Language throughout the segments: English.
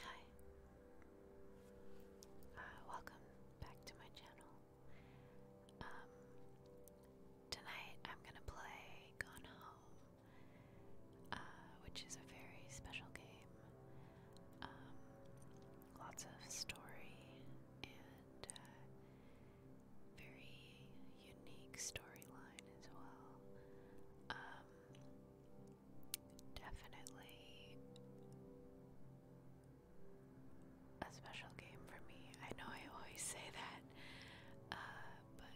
Hi. Uh, welcome back to my channel. Um, tonight I'm gonna play Gone Home, uh, which is a very special game. Um, lots of story and uh, very unique storyline as well. Um, definitely a special game for me. I know I always say that, uh, but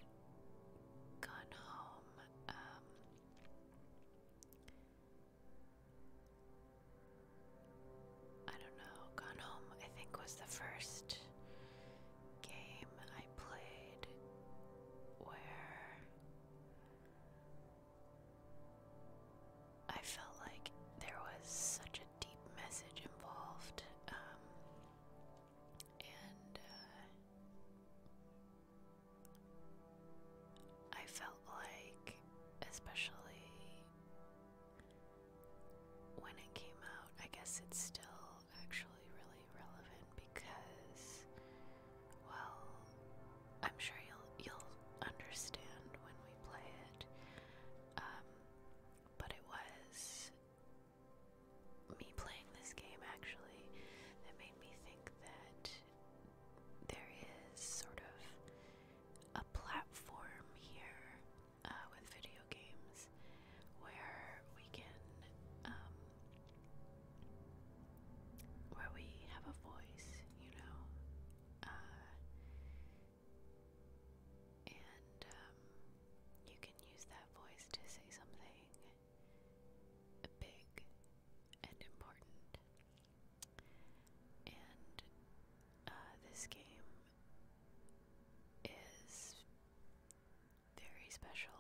Gone Home. Um, I don't know. Gone Home, I think, was the first game I played where I felt like there was such a deep message involved, um, and uh, I felt like, especially when it came out, I guess it's still actually really relevant because, well, I'm sure you'll you'll understand when we play it. Um, but it was me playing this game actually that made me think that there is sort of a platform here uh, with video games ways where we can um, where we have a voice, you know. Uh, and um, you can use that voice to say something big and important. And uh, this game is very special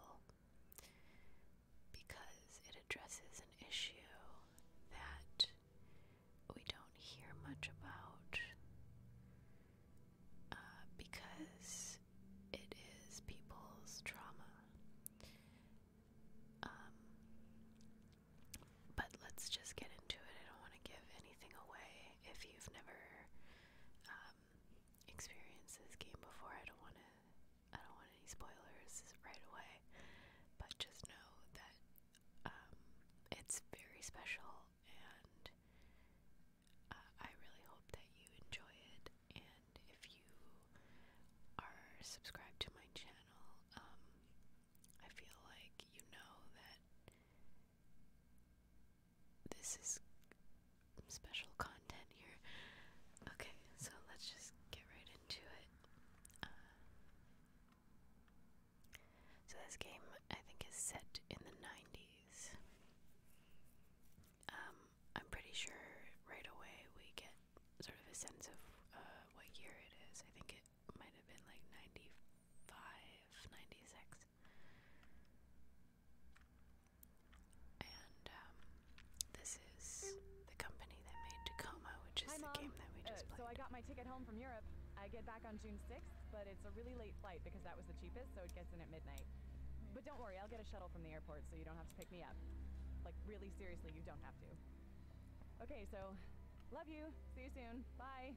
because it addresses an issue that we don't hear much about uh, because it is people's trauma. Um, but let's just get into it. I don't want to give anything away if you've never uh, um, experiences came before. I don't want to. I don't want any spoilers right away, but just know that um, it's very special, and uh, I really hope that you enjoy it. And if you are subscribed to my channel, um, I feel like you know that this is special content here. Okay, so let's just get right into it. Uh, so this game, I think, is set in the 90s. Um, I'm pretty sure right away we get sort of a sense of uh, what year it is. I think it might have been like 95, 96. And um, this is the company that made Tacoma, which is the game that we just uh, played. So I got my ticket home from Europe. I get back on June 6th, but it's a really late flight because that was the cheapest, so it gets in at midnight. But don't worry, I'll get a shuttle from the airport so you don't have to pick me up. Like, really seriously, you don't have to. Okay, so love you. See you soon. Bye.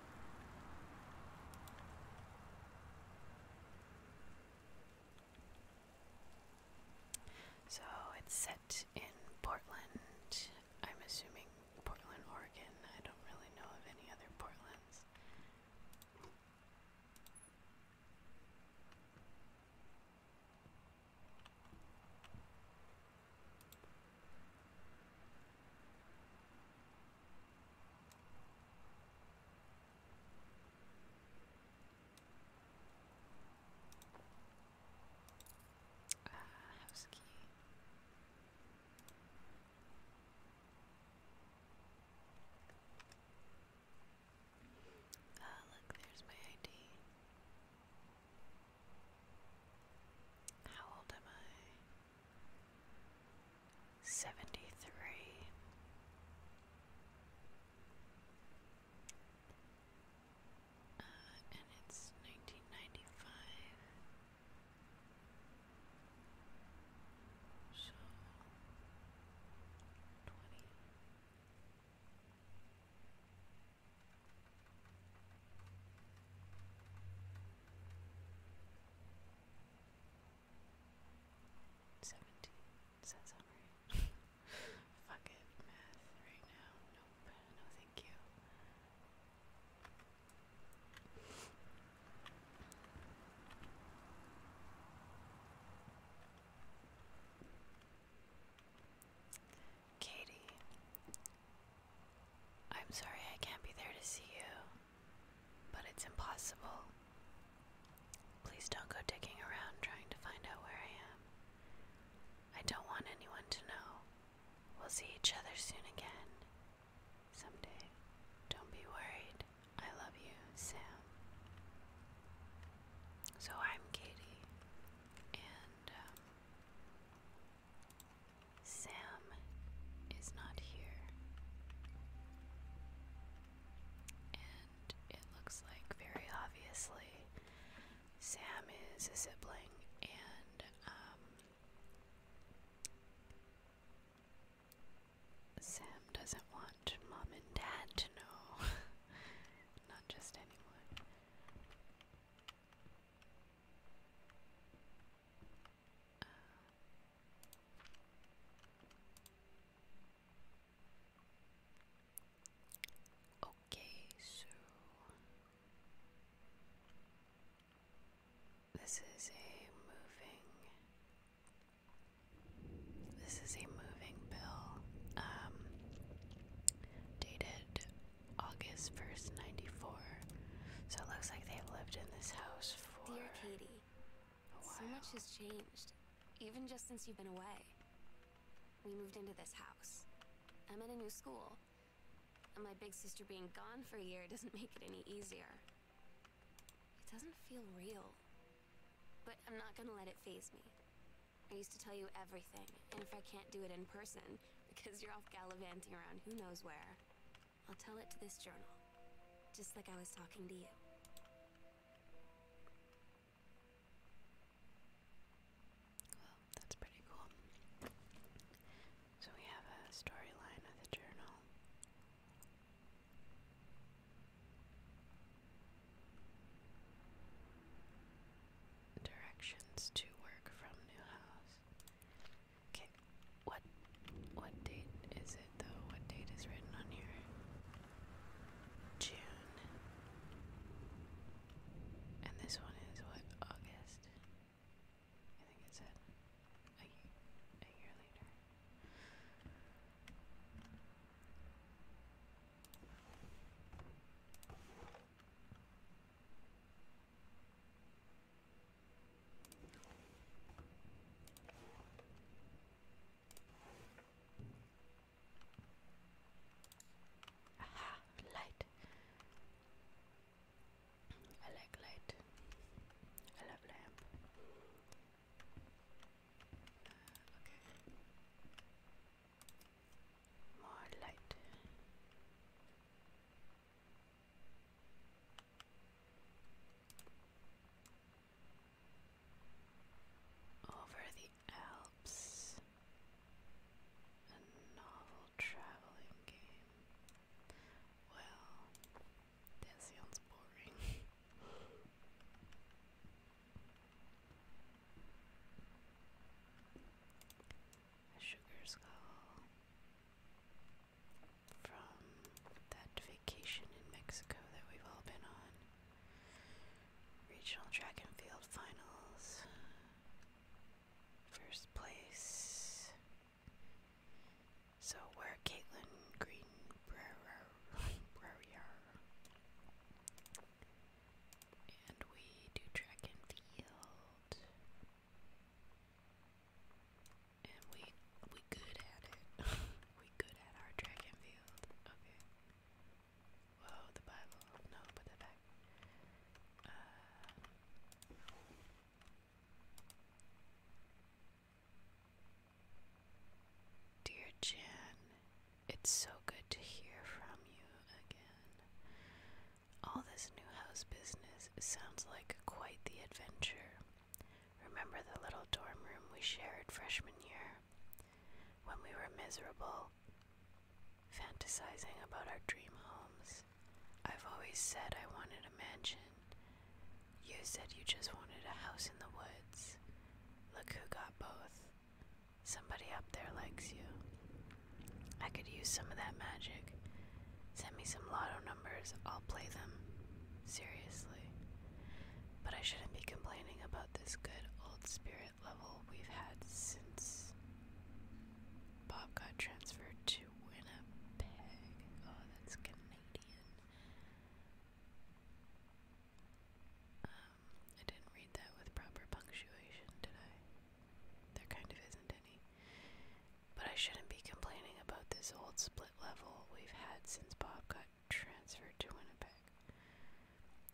So it's set in Portland. I'm assuming Portland, Oregon. I don't really know of any other Portlands house uh, key. Ah, uh, look, there's my ID. How old am I? seventy three, uh, and it's nineteen ninety five. So twenty. Seventeen. Does that sound right? Fuck it, math right now. Nope. No thank you. Katie, I'm sorry I can't be there to see you but it's impossible. Please don't go digging around trying to find out where I am. I don't want anyone to know. We'll see each other soon again. Someday. Don't be worried. I love you, Sam. So I'm Katie, and um, Sam is not here. And it looks like very obviously Sam is a sibling and um, Sam doesn't want mom and dad to know. Not just anyone okay, so this is a moving this is a moving bill um, dated August 1st 94 so it looks like they've lived in this house Dear Katie, so much has changed, even just since you've been away. We moved into this house. I'm in a new school, and my big sister being gone for a year doesn't make it any easier. It doesn't feel real, but I'm not gonna let it phase me. I used to tell you everything, and if I can't do it in person, because you're off gallivanting around who knows where, I'll tell it to this journal. Just like I was talking to you. Well, that's pretty cool. So we have a storyline of the journal. Directions to work from new house. Okay, what what date is it though? What date is written on here? June. And this one is what? August. I think it said a year, later. Aha, light. I like light. I love lamp. Uh, okay. More light. Over the Alps, a novel traveling game. Well, that sounds boring. a sugar skull from that vacation in Mexico that we've all been on. Regional track and field finals. First place. So where Caitlin Greenbrier and we do track and field. And we we good at it. we good at our dragon field. Okay. Whoa, the Bible. No, put that back. Uh, dear Jen, it's so good to hear from you again. All this new house business sounds like quite the adventure. Remember the little dorm room we shared freshman year? When we were miserable, fantasizing about our dream homes. I've always said I wanted a mansion. You said you just wanted a house in the woods. Look who got both. Somebody up there likes you. I could use some of that magic. Send me some lotto numbers, I'll play them. Seriously. But I shouldn't be complaining about this good old spirit level we've had since Bob got transferred to Winnipeg. Oh, that's Canadian. Um, I didn't read that with proper punctuation, did I? There kind of isn't any. But I shouldn't be complaining about this old split level we've had since Bob got transferred to Winnipeg.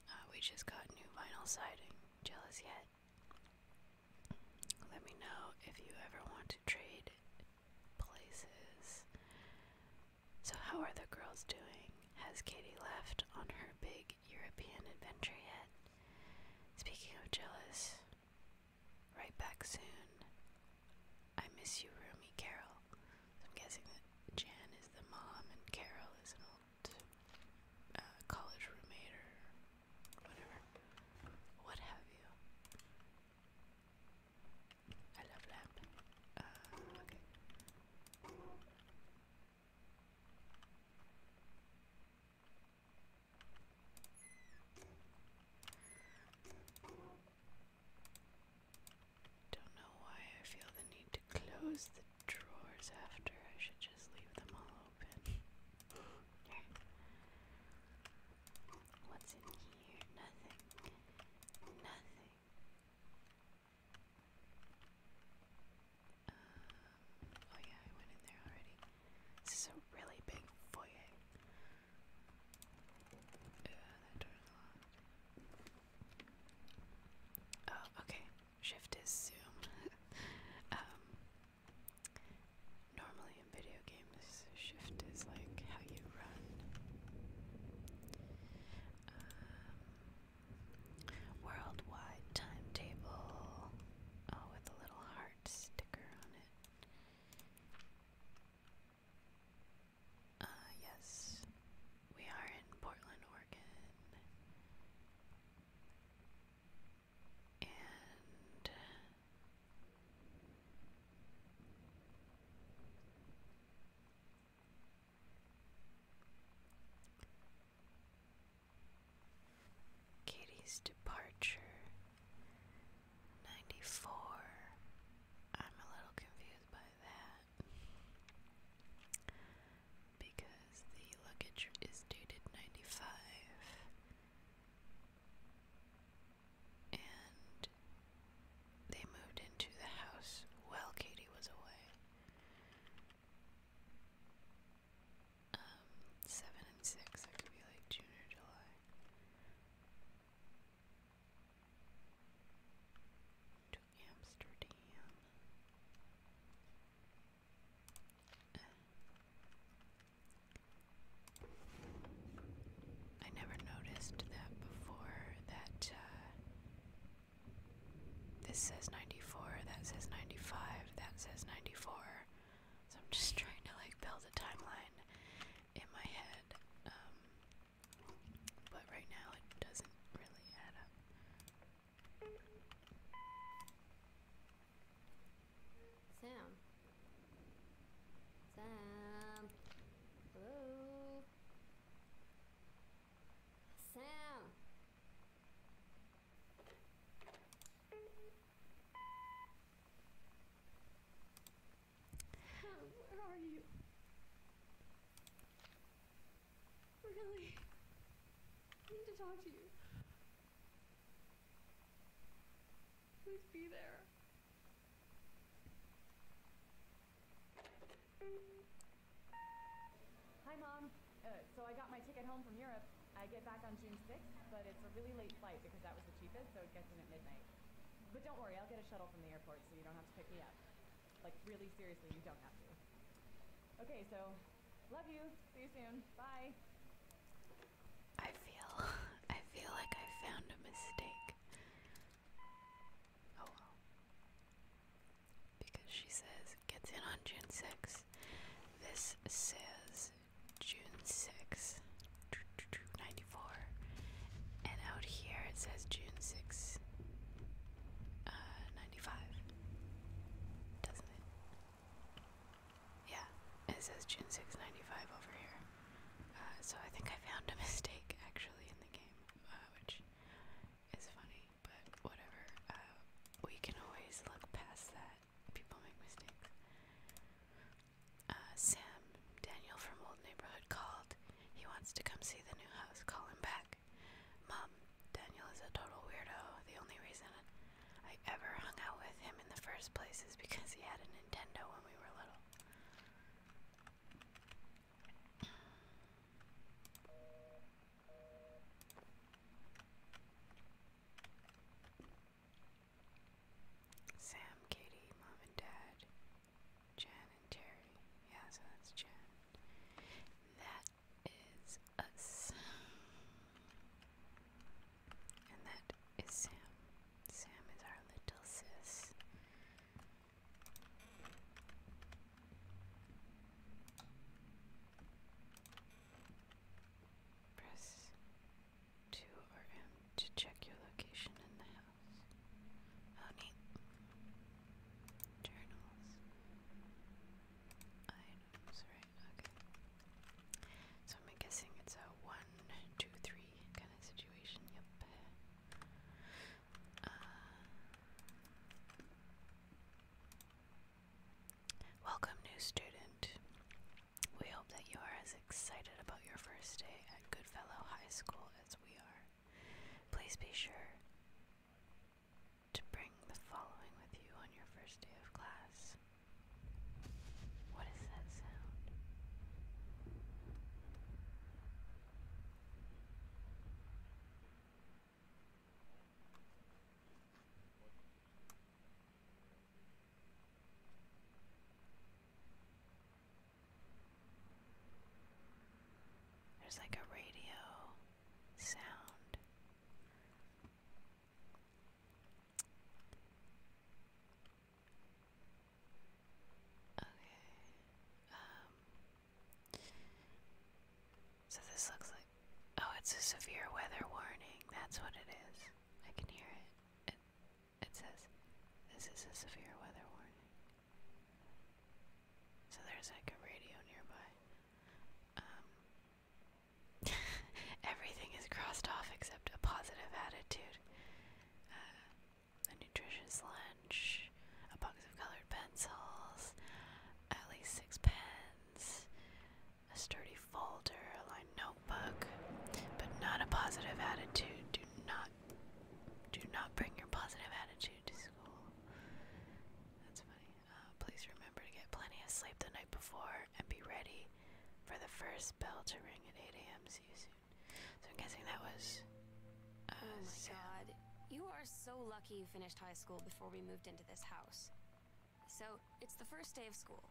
Uh, we just got new vinyl siding. Jealous yet? Let me know if you ever want to trade places. So, how are the girls doing? Has Katie left on her big European adventure yet? Speaking of jealous, Right back soon. I miss you, Roomy Carol. I'm guessing that Jan is the mom and Carol is an old uh, college roommate or whatever. What have you? I love that. Uh, okay. Don't know why I feel the need to close the drawers after. I should just leave them all open. What's in here? Nothing. Nothing. Um, oh yeah, I went in there already. This is a really big foyer. Oh, okay. Shift is zoom. um, normally in video games, shift is like how you run. Um, worldwide timetable. Oh, with a little heart sticker on it. Uh, yes, we are in Portland, Oregon. And Katie's departure 94. I'm a little confused by that because the luggage is dated 95 and they moved into the house while Katie was away. Um, 7 and 6, that could be like June or July to Amsterdam. I never noticed that before, that uh, this says 94, that says 95, that says 94. So I'm just trying to like build a timeline in my head, um, but right now it doesn't really add up. Sam. Sam. Hello. Sam. Where are you? Really? I need to talk to you. Please be there. Hi, Mom. Uh, so I got my ticket home from Europe. I get back on June 6th, but it's a really late flight because that was the cheapest, so it gets in at midnight. But don't worry, I'll get a shuttle from the airport so you don't have to pick me up. Like, really seriously, you don't have to. Okay, so, love you. See you soon. Bye. I feel, I feel like I found a mistake. Oh well. Because she says, gets in on June 6th. This says June 6th. 94. And out here it says June 6, uh, 95. Doesn't it? Yeah, it says June six ninety five over here. Uh, so I think I found a mistake actually in the game, uh, which is funny, but whatever. Uh, we can always look past that. People make mistakes. Uh, Sam Daniel from Old Neighborhood called. He wants to come see the new house. Call him back. Mom, Daniel is a total weirdo. The only reason I ever hung out with him in the first place is because he had a Nintendo when we were little. Sam, Katie, Mom, and Dad Jan and Terry. Yeah, so that's Jan. That is us. And that is Sam. Sam is our little sis. Press 2 or M to check your location in the house. Oh, Journals. Items, right, okay. So I'm guessing it's a one, two, three kind of situation, yep. Uh, welcome, new student. We hope that you are as excited about your first day at Goodfellow High School as we are. Please be sure to bring the following with you on your first day of class. What is that sound? There's like a radio sound. Okay. Um, so this looks like oh, it's a severe weather warning. That's what it is. I can hear it it says, this is a severe weather warning. So there's like a radio nearby. Um, everything is crossed off except a positive attitude. Uh, a nutritious lunch, a box of colored pencils, at least six pens, a sturdy folder, a lined notebook, but not a positive attitude. Do not do not bring your positive attitude to school. That's funny. Uh, please remember to get plenty of sleep the night before and be ready for the first bell to ring at 8 a.m. See you soon. So I'm guessing that was. Oh uh, oh god. You are so lucky you finished high school before we moved into this house. So it's the first day of school,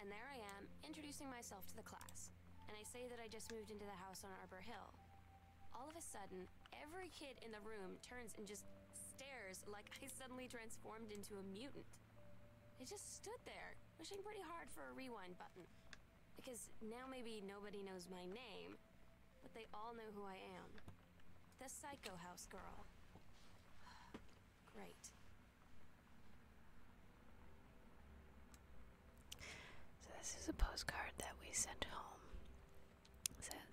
and there I am introducing myself to the class. And I say that I just moved into the house on Arbor Hill. All of a sudden, every kid in the room turns and just stares like I suddenly transformed into a mutant. I just stood there, wishing pretty hard for a rewind button. Because now maybe nobody knows my name, but they all know who I am. The Psycho House Girl. Great. So this is a postcard that we sent home. says,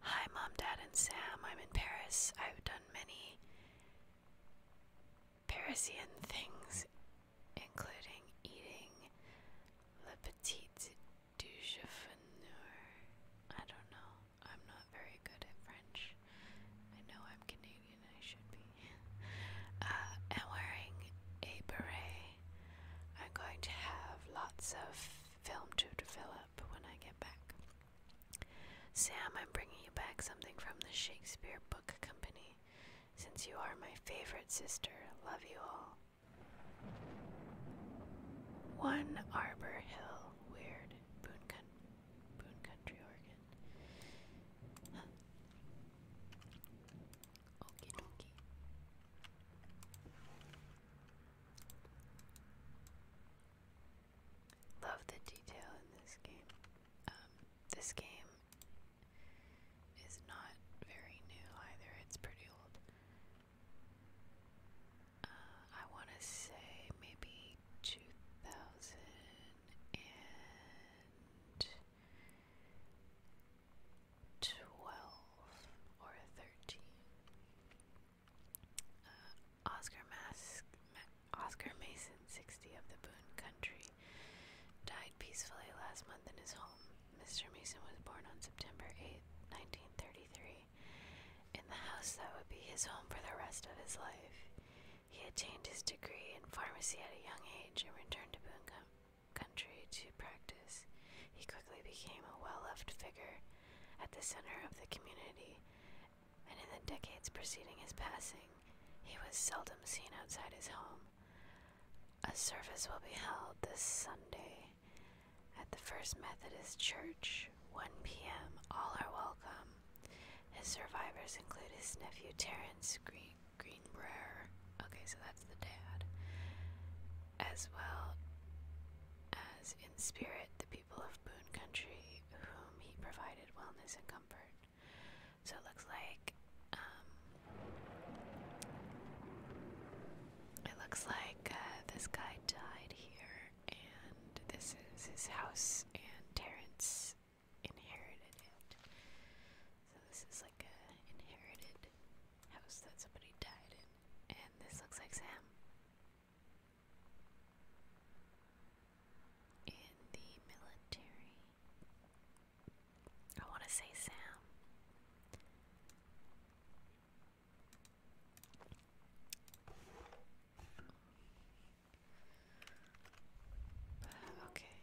"Hi, Mom, Dad, and Sam. I'm in Paris. I've done many Parisian things, including eating Le Petit Déjeuner. I don't know. I'm not very good at French. I know I'm Canadian. I should be. Uh, and wearing a beret." I'm going to have lots of film to develop when I get back. Sam, I'm bringing you back something from the Shakespeare Book Company. Since you are my favorite sister, love you all. One Arbor Hill, Weird, Boone, Boone Country, Oregon. Okie dokie. Love the detail in this game. Um, this game is not very new either, it's pretty old. Uh, I want to say maybe 2000 and twelve or thirteen. Uh, Oscar Mask, Oscar Mason, sixty of the Boone Country, died peacefully last month in his home. Mr. Mason was born on September 8, 1933, in the house that would be his home for the rest of his life. He attained his degree in pharmacy at a young age and returned to Boone, country to practice. He quickly became a well loved figure at the center of the community, and in the decades preceding his passing, he was seldom seen outside his home. A service will be held this Sunday at the First Methodist Church, 1 p.m. All are welcome. His survivors include his nephew Terrence Green. Greenbrier. Okay, so that's the dad. As well as in spirit the people of Boone Country, whom he provided wellness and comfort. So it looks like, um, it looks like uh, this guy died here, and this is his house, and Terrence inherited it. So this is like looks like an inherited house that somebody died in. And this looks like Sam. In the military. I want to say Sam. okay.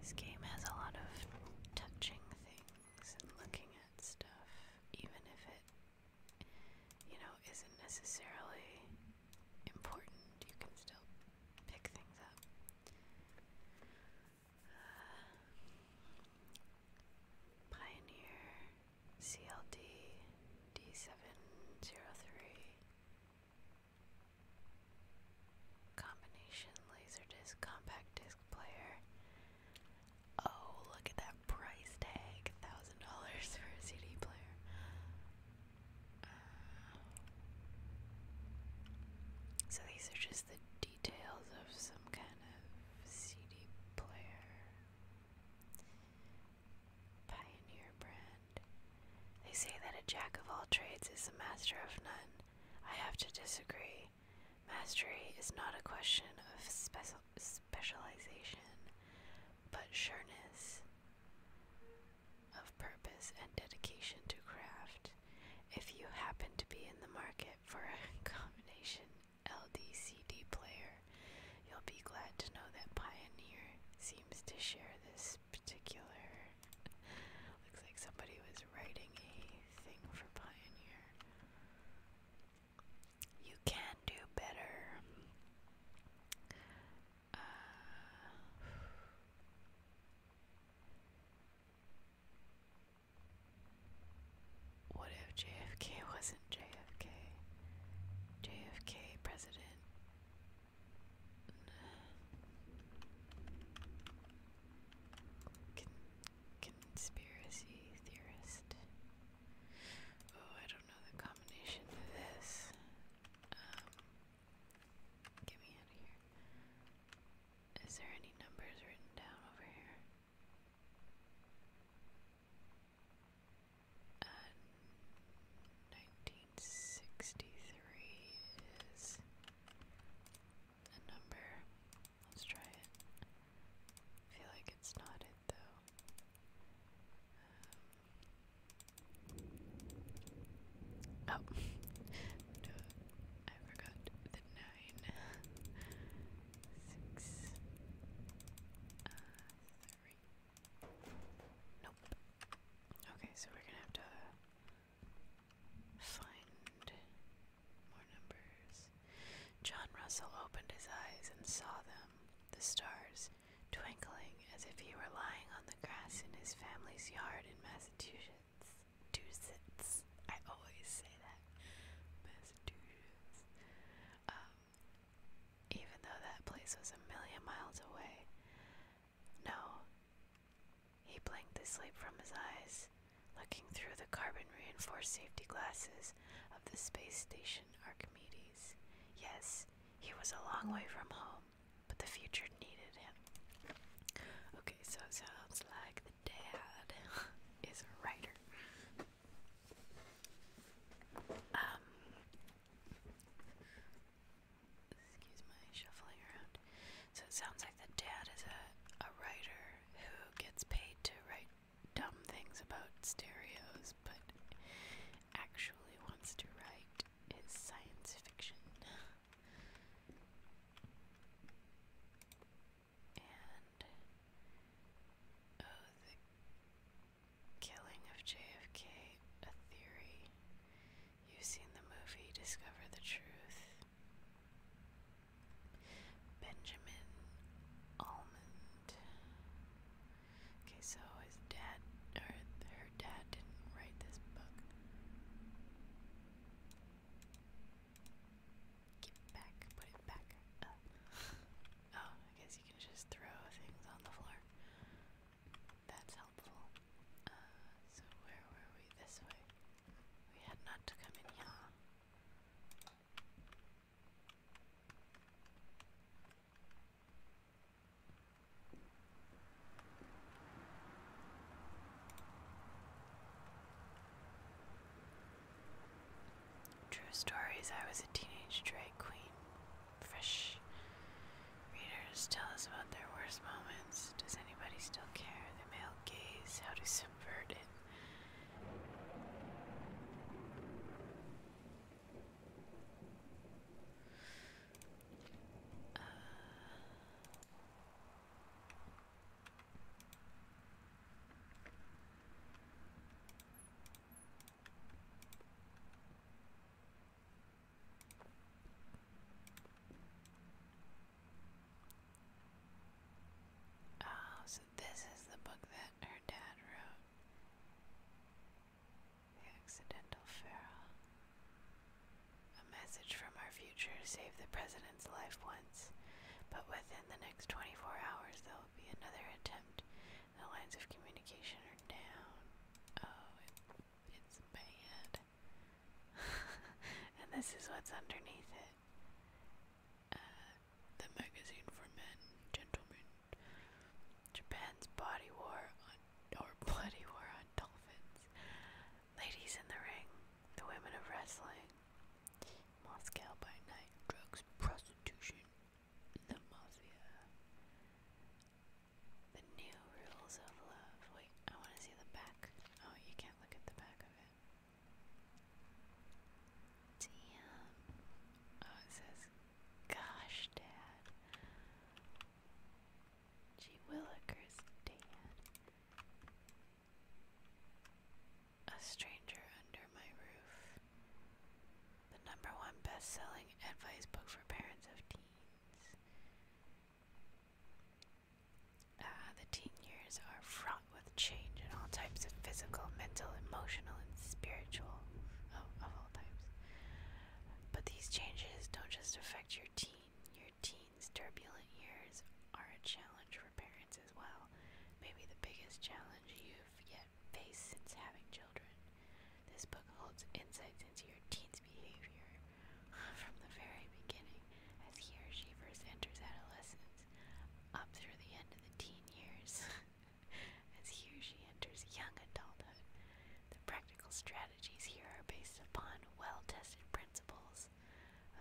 This game has a lot of touching things and looking at stuff, even if it, you know, isn't necessarily important. You can still pick things up. Uh, Pioneer CLD 703 Combination Laserdisc compact disc player. Oh, look at that price tag! Thousand dollars for a CD player. Uh, so these are just the details of some kind of CD player. Pioneer brand. They say that a jack of all trades is a master of none. I have to disagree. Mastery is not a question of specialization, but sureness of purpose and dedication to craft. If you happen to be in the market for a combination LDCD player, You'll be glad to know that Pioneer seems to share this particular. Looks like somebody was writing a thing for Pioneer. You can do better. Uh, what if JFK wasn't JFK? JFK, president, conspiracy theorist. Oh, I don't know the combination to this. Um, get me out of here. Is there any numbers written down over here? And 1963 is a number. Let's try it. I feel like it's not it though. Um, oh, no, I forgot the nine. Six. Uh, Nope. Okay, so we're gonna have to find more numbers. John Russell opened his eyes and saw them, the stars, twinkling as if he were lying on the grass in his family's yard in Massachusetts. I always say that. Massachusetts. Um, even though that place was a million miles away. No. He blinked the sleep from his eyes, looking through the carbon reinforced safety glasses of the space station Archimedes. Yes, he was a long way from home, but the future needed him. Okay, so it sounds like the dad is a writer. Um, excuse my shuffling around. So it sounds like the dad is a, a writer who gets paid to write dumb things about stereos, but actually wants to write his science fiction. And oh, Killing of JFK, a theory. You've seen the movie Discover the Truth. Benjamin Almond. Okay, so his dad, or her dad, didn't write this book. Get back, put it back Oh, I guess you can just throw things on the floor. That's helpful. Uh, so where were we? This way. We had not to come in here. True stories. I was a teenage drag queen fresh readers tell us about their worst moments. Does anybody still care? The male gaze, how to subvert it. Uh, Oh, so this is the book that her dad wrote. The Accidental Pharaoh. A message from our future saved the president's life once, but within the next 24 hours there will be another attempt. The lines of communication are down. Oh, it's bad. and this is what's underneath it. Uh, the magazine for men, gentlemen. Japan's body war or bloody war on dolphins. Ladies in the ring, the women of wrestling. Moscow by night, drugs, prostitution, the mafia. The new rules of love. Wait, I want to see the back. Oh, you can't look at the back of it. Damn. Oh, it says, Gosh, Dad. Gee Willikers, Dad. A Stranger Under My Roof. The number one best selling advice book for parents of teens. Uh, the teen years are fraught with change in all types of physical, mental, emotional, and spiritual, oh, of all types. But these changes don't just affect your teen. Your teen's turbulent years are a challenge for parents as well. Maybe the biggest challenge you've yet faced since having children. This book holds insights into your teen's behavior from the very beginning as he or she first enters adolescence up through the end of the teen years as he or she enters young adulthood. The practical strategies here are based upon well-tested principles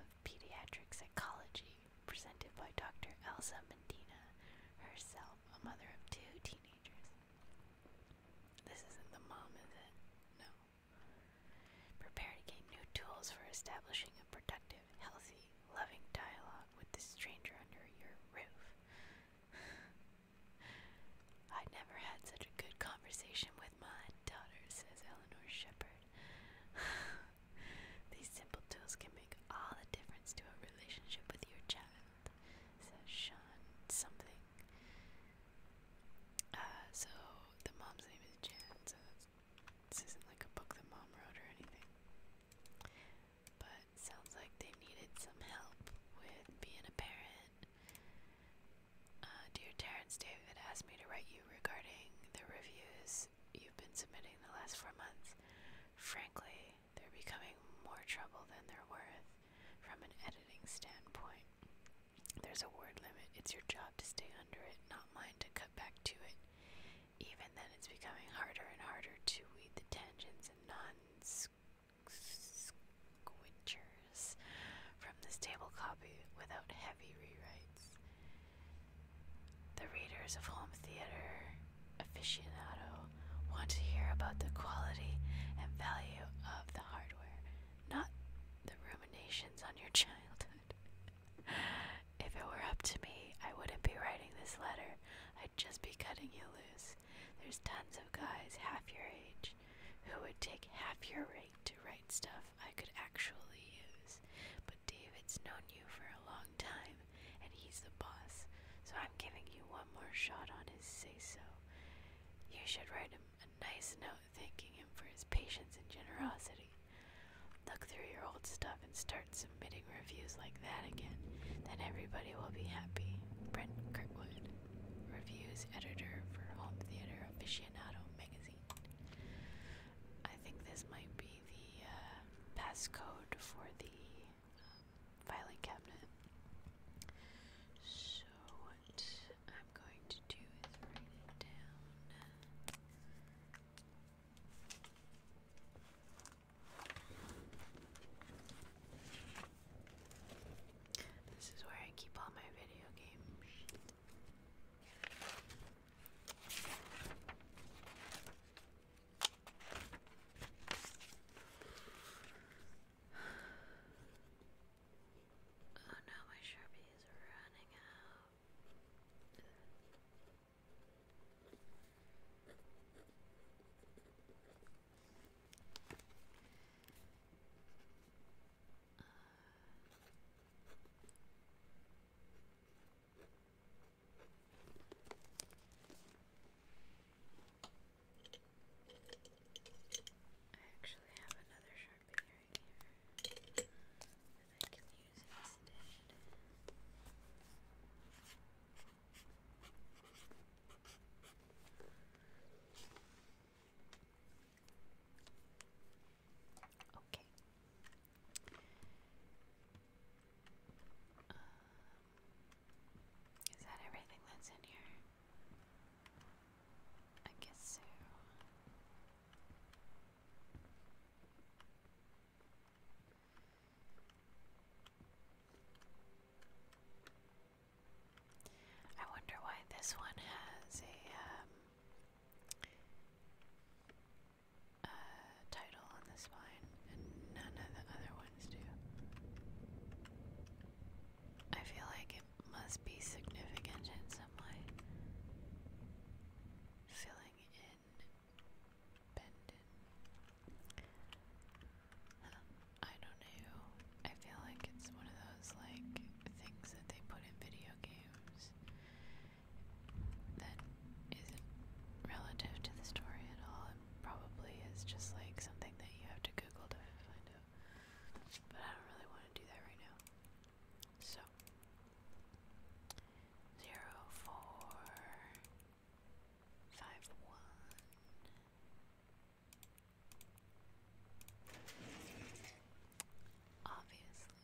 of pediatric psychology presented by Dr. Elsa Mendina, herself, a mother of two teenagers. This isn't the mom, is it? No. Prepare to gain new tools for establishing a productive, healthy, loving dialogue with the stranger under your roof. I never had such a good conversation with my daughter, says Eleanor Shepard. These simple tools can make all the difference to a relationship with your child, says Sean something. Uh, so the mom's name is Jan, so this isn't like a book the mom wrote or anything. But sounds like they needed some help with being a parent. Uh, dear Terrence, David asked me to write you regarding the reviews you've been submitting the last four months. Frankly, they're becoming more trouble than they're worth from an editing standpoint. There's a word limit. It's your job to stay under it, not mine to cut back to it. Even then, it's becoming harder and harder to weed the tangents and non squitchers from the table copy without heavy rewrites. The readers of home theater aficionado want to hear about the quality and value of the hardware, not the ruminations on your childhood. if it were up to me, I wouldn't be writing this letter. I'd just be cutting you loose. There's tons of guys half your age who would take half your rate to write stuff I could actually use. But David's known you for a long time, and he's the boss, so I'm giving you one more shot on his say so. You should write him a nice note thanking him for his patience and generosity. Look through your old stuff and start submitting reviews like that again. Then everybody will be happy. Brent Kirkwood, reviews editor for Home Theater Aficionado magazine. I think this might be the uh, passcode for the um, filing cabinet. So, what I'm going to do is write it down. This is where I keep all my video games. Oh no, my Sharpie is running out. Uh, I actually have another Sharpie right here that I can use instead. Okay. Um, is that everything that's in here? I guess so. I wonder why this one has um, a title on the spine and none of the other ones do. I feel like must be significant in some way. Filling in I don't know. I feel like it's one of those like things that they put in video games that relative to the story at all and probably is just like something that you have to Google to find out. But I don't really want to do that right now. So, zero, four, five, one. Obviously.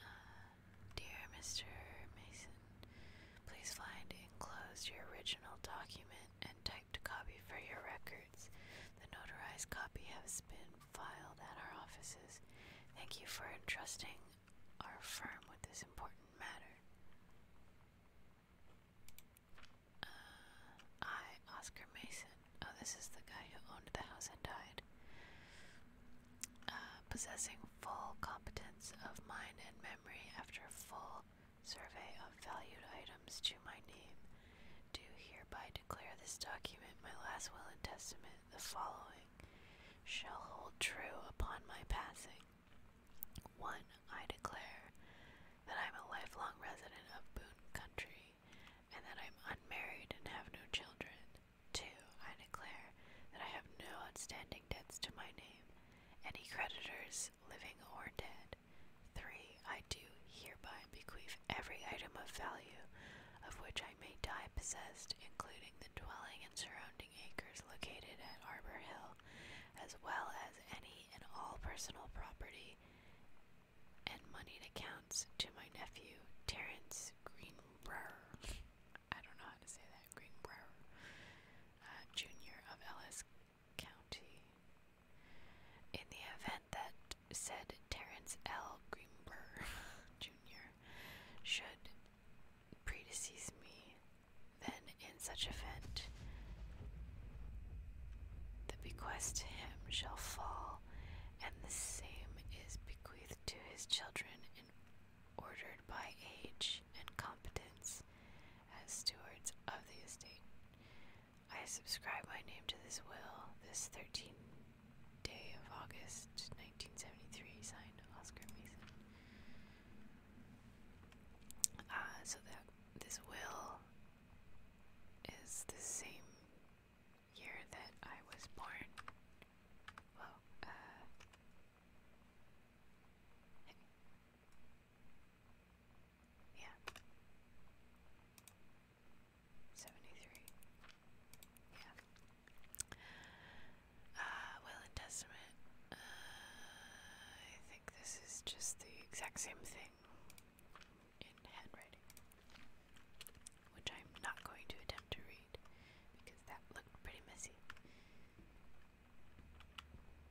Uh, dear Mr. Mason, please find enclosed your original document and typed copy for your records. The notarized copy has been filed at our offices. Thank you for entrusting our firm with this important matter. Uh, I, Oscar Mason. Oh, this is the guy who owned the house and died. Uh, possessing full competence of mind and memory after full Survey of valued items to my name. Do hereby declare this document my last will and testament. The following shall hold true upon my passing. 1. I declare that I am a lifelong resident of Boone Country and that I am unmarried and have no children. 2. I declare that I have no outstanding debts to my name, any creditors, living or dead. Three, I do hereby bequeath every item of value of which I may die possessed, including the dwelling and surrounding acres located at Arbor Hill, as well as any and all personal property and moneyed accounts to my nephew, Terence Greenbrower. I don't know how to say that, Greenbrower, uh, Jr. of Ellis County. In the event that said Terence L. Greenberg Jr. should predecease me, then in such event the bequest to him shall fall, and the same is bequeathed to his children in ordered by age and competence as stewards of the estate. I subscribe my name to this will this 13th day of August 1973, signed Oscar Mason. Uh, so that this will is the same year that I was born. Uh, yeah. 73. Yeah. Uh, will and testament. Uh, I think this is just the exact same thing in handwriting, which I'm not going to attempt to read because that looked pretty messy.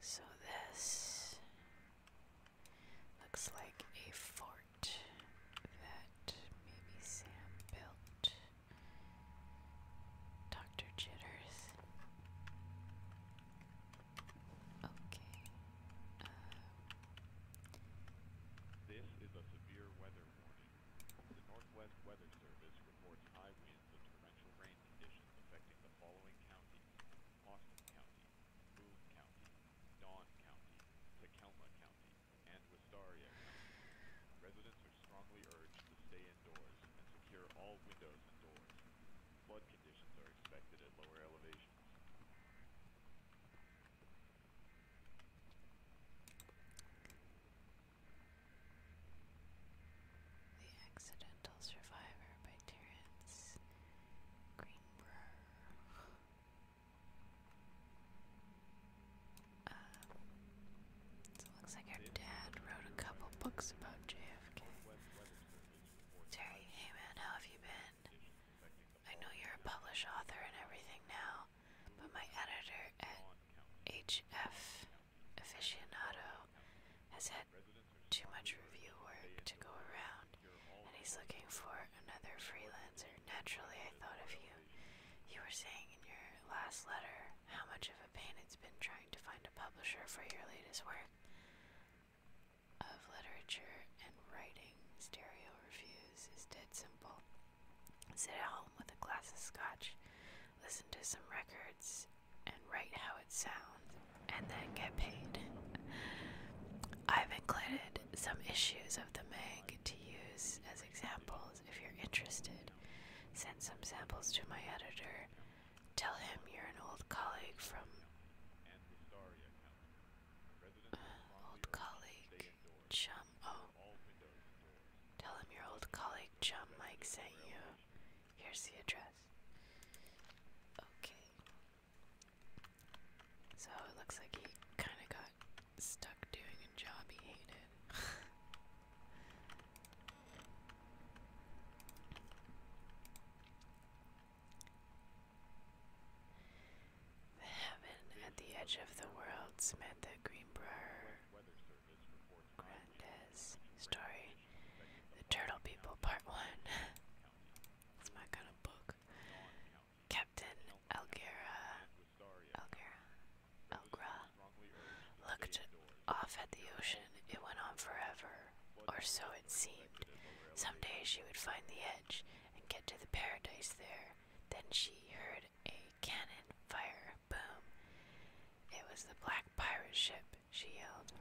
So this looks like a fort that maybe Sam built. Dr. Jitters. Okay. Um. This is a severe weather warning. The Northwest Weather Service reports high winds warnings of torrential rain conditions affecting the following counties Austin County, Boone County, Dawn County, Tacoma County, and Wistaria County. Residents are strongly urged to stay indoors and secure all windows and doors. Flood conditions are expected at lower elevations. The Accidental Survivor by Terence Greenberg. Um, so it looks like our dad wrote a couple books about JFK. Terry, hey man, how have you been? I know you're a published author and everything now, but my editor at HF aficionado has had too much review work to go around, and he's looking for another freelancer. Naturally, I thought of you. You were saying in your last letter how much of a pain it's been trying to find a publisher for your latest work of literature and writing. Stereo reviews is dead simple. Sit at home with a glass of scotch, listen to some records and write how it sounds, and then get paid. I've included some issues of the Mag to use as examples if you're interested. Send some samples to my editor. Tell him you're an old colleague from. Uh, old colleague Chum. Oh. Tell him your old colleague Chum Mike sent you. Here's the address. Okay. So it looks like he kind of got stuck doing a job he hated. the heaven at the edge of the world, Samantha Greenbrier Grandes story the Turtle People Part 1. That's my kind of book. Captain Elgera, Elgera, Elgra looked off at the ocean. It went on forever, or so it seemed. Someday she would find the edge and get to the paradise there. Then she heard a cannon fire boom. It was the black pirate ship she yelled.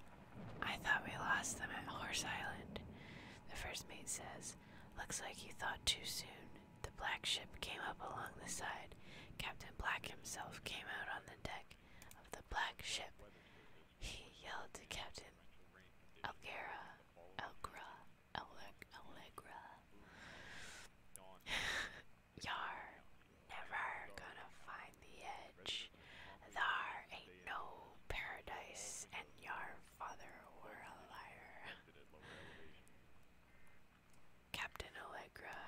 I thought we lost them at Horse Island, the first mate says. Looks like you thought too soon. The black ship came up along the side. Captain Black himself came out on the deck of the black ship. He yelled to Captain Algera, Algra, Allegra. Yar, never gonna find the edge. Thar ain't no paradise, and your father were a liar. Captain Allegra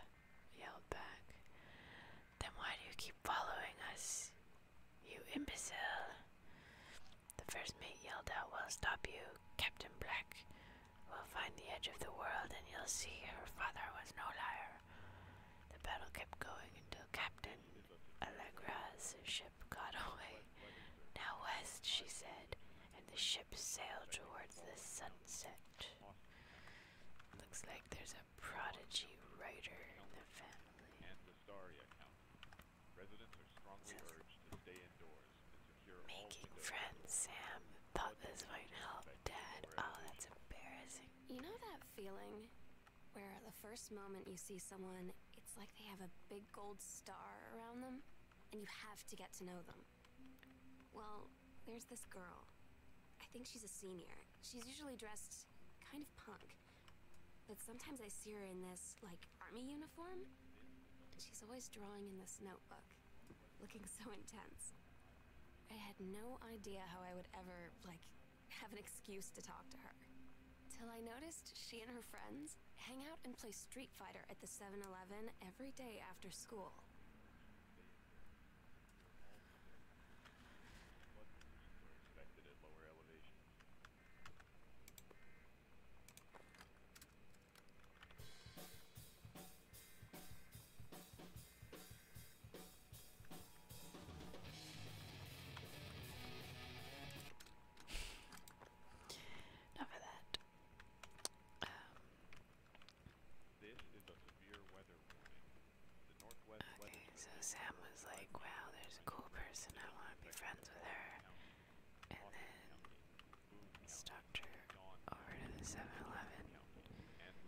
yelled back. Then why do you keep following us? You imbecile! The first mate yelled out, We'll stop you, Captain Black. We'll find the edge of the world and you'll see your father was no liar. The battle kept going until Captain Allegra's ship got away. Now west, she said, and the ship sailed towards the sunset. Looks like there's a prodigy writer in the family. Making friends, Sam. Thought this might help, Dad. Oh, that's embarrassing. You know that feeling where the first moment you see someone, it's like they have a big gold star around them, and you have to get to know them. Well, there's this girl. I think she's a senior. She's usually dressed kind of punk, but sometimes I see her in this, like, army uniform. And she's always drawing in this notebook, looking so intense. I had no idea how I would ever, like, have an excuse to talk to her. Till I noticed she and her friends hang out and play Street Fighter at the 7 Eleven every day after school. Enough of that. Um, okay, so Sam was like, wow, there's a cool person, I want to be friends with her. And then stalked her over to 7-Eleven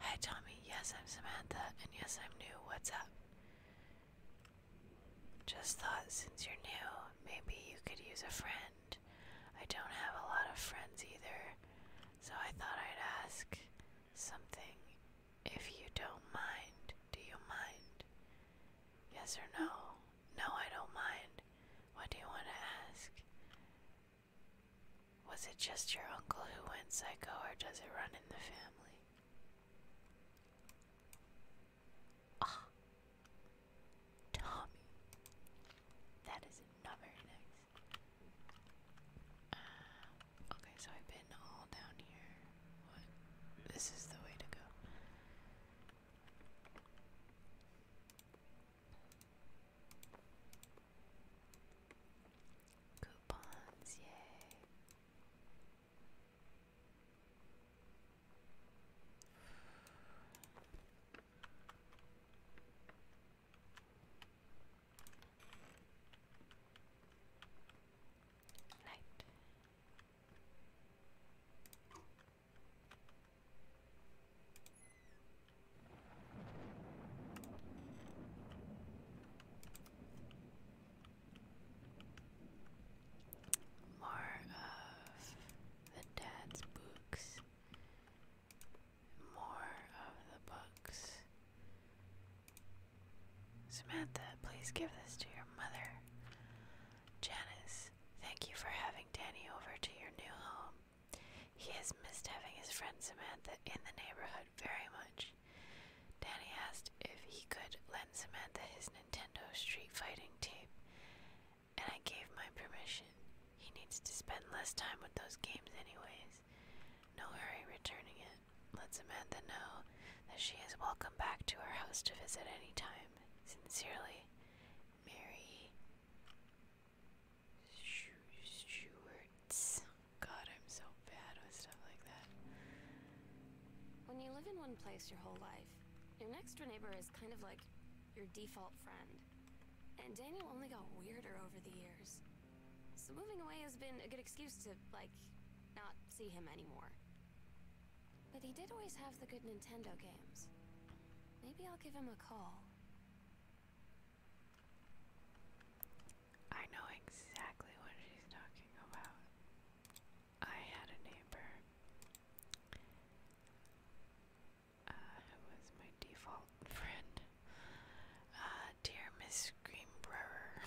Hi, Tommy. Yes, I'm Samantha, and yes, I'm new. What's up? Just thought since you're new, maybe you could use a friend. I don't have a lot of friends either, so I thought I'd ask something if you don't mind. Do you mind? Yes or no? No, I don't mind. What do you want to ask? Was it just your uncle who went psycho, or does it run in the family? Ah, Tommy. That is not very nice. Ah, okay, so I've been all down here. What? This is the way to go. Coupons, yay. Night. More of the dad's books. More of the books. Samantha, please give this to your mother. Janice, thank you for having Danny over to your new home. He has missed having his friend Samantha in the neighborhood very much. Danny asked if he could lend Samantha his Nintendo Street Fighting tape, and I gave my permission. He needs to spend less time with those games, anyways. No hurry returning it. Let Samantha know that she is welcome back to our house to visit any time. Sincerely, Mary. Stewart's. God, I'm so bad with stuff like that. When you live in one place your whole life, your next door neighbor is kind of like your default friend. And Daniel only got weirder over the years. So moving away has been a good excuse to, like, not see him anymore. But he did always have the good Nintendo games. Maybe I'll give him a call. I know exactly what she's talking about. I had a neighbor uh, was my default friend. Uh, dear Miss Greenbrewer,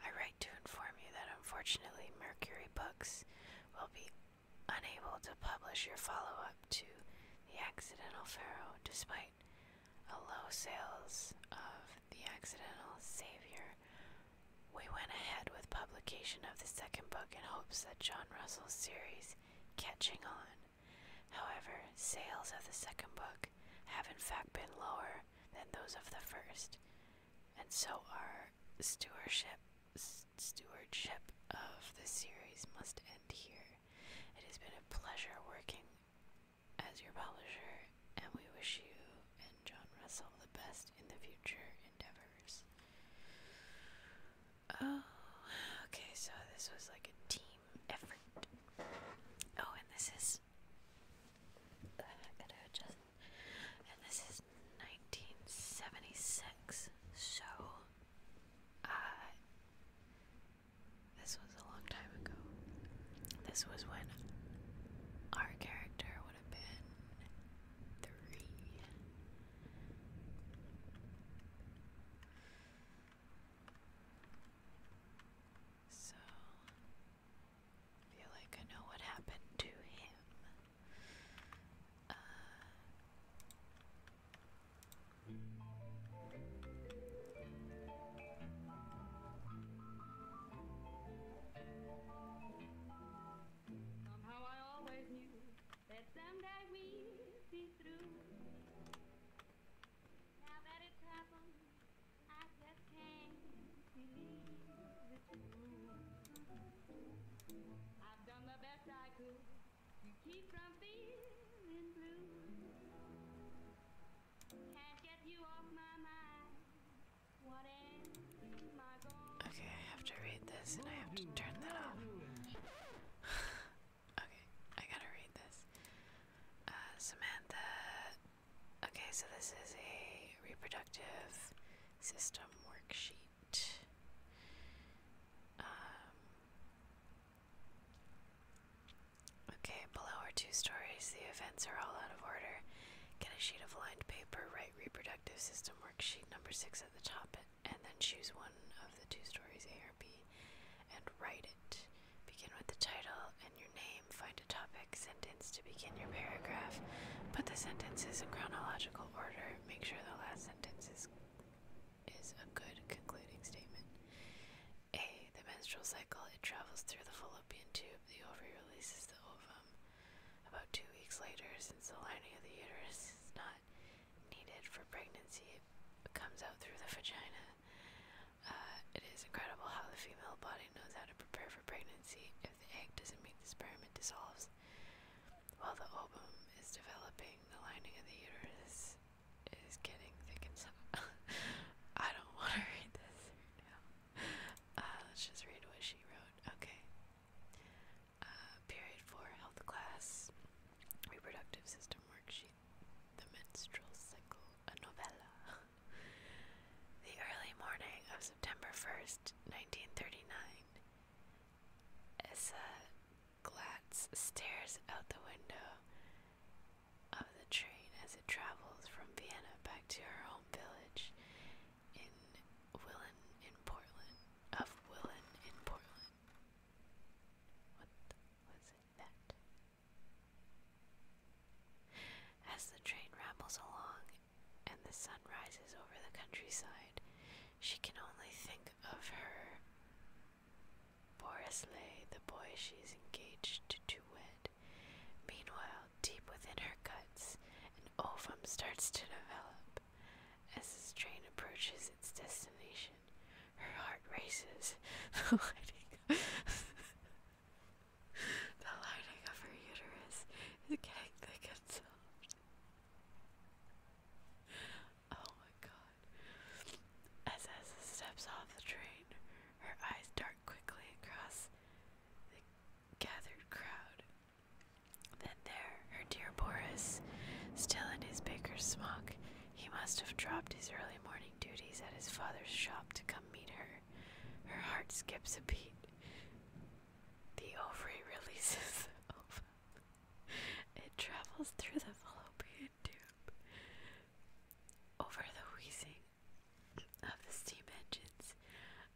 I write to inform you that unfortunately Mercury Books will be unable to publish your follow up to The Accidental Pharaoh despite night, low sales of The Accidental Savior. We went ahead with publication of the second book in hopes that John Russell's series catching on. However, sales of the second book have in fact been lower than those of the first, and so our stewardship stewardship of the series must end here. It has been a pleasure working as your publisher, and we wish you and John Russell the best in the future endeavors. Oh, okay, so this was like a team effort. Oh, and this is. Uh, gotta adjust. And this is 1976, so. Uh, this was a long time ago. This was when our character would have been three. So, feel like I know what happened to him. Uh, Somehow I always knew that someday we'd be through. Now that it's happened, I just can't believe it's true. I've done the best I could to keep from feeling blue. Okay, I have to read this and I have to turn that off. okay, I gotta read this. Uh, Samantha. Okay, so this is a reproductive system worksheet. Um, Okay, below are two stories. The events are all out of order. Get a sheet of lined paper, write reproductive system worksheet number six at the top, and then choose one of the two stories, A or B, and write it. Begin with the title and your name. Find a topic sentence to begin your paragraph. Put the sentences in chronological order. Make sure the last sentence is, is a good concluding statement. A. The menstrual cycle. It travels through the fallopian tube. The ovary releases the ovum about two weeks later. Since the lining of the uterus is not needed for pregnancy, it comes out through the vagina. Uh, it is incredible how the female body knows how to prepare for pregnancy. If the egg doesn't meet the sperm, it dissolves. While the ovum is developing, the lining of the uterus is getting thick and some. I don't want to read this now. Uh, let's just read what she wrote. Okay. Uh, period four, health class, reproductive system worksheet, the menstrual cycle, a novella. the early morning of September 1st, 1939. Essa Glatz stares out the window of the train as it travels from Vienna back to her home village in Willen in Portland. Of Willen in Portland. What was it that? As the train rambles along and the sun rises over the countryside, she can only think of her Boris Boreslay, the boy she's engaged to wed. Meanwhile, deep within her guts, an ovum starts to develop. As this train approaches its destination, her heart races. The lighting, lining of her uterus is getting thick Oh my god. As Essa steps off the train, her eyes dart quickly across the gathered crowd. Then there, her dear Boris, still in his baker's smock, he must have dropped his early morning duties at his father's shop to come meet her. Her heart skips a beat. The ovary releases ovum. It travels through the fallopian over the wheezing of the steam engines,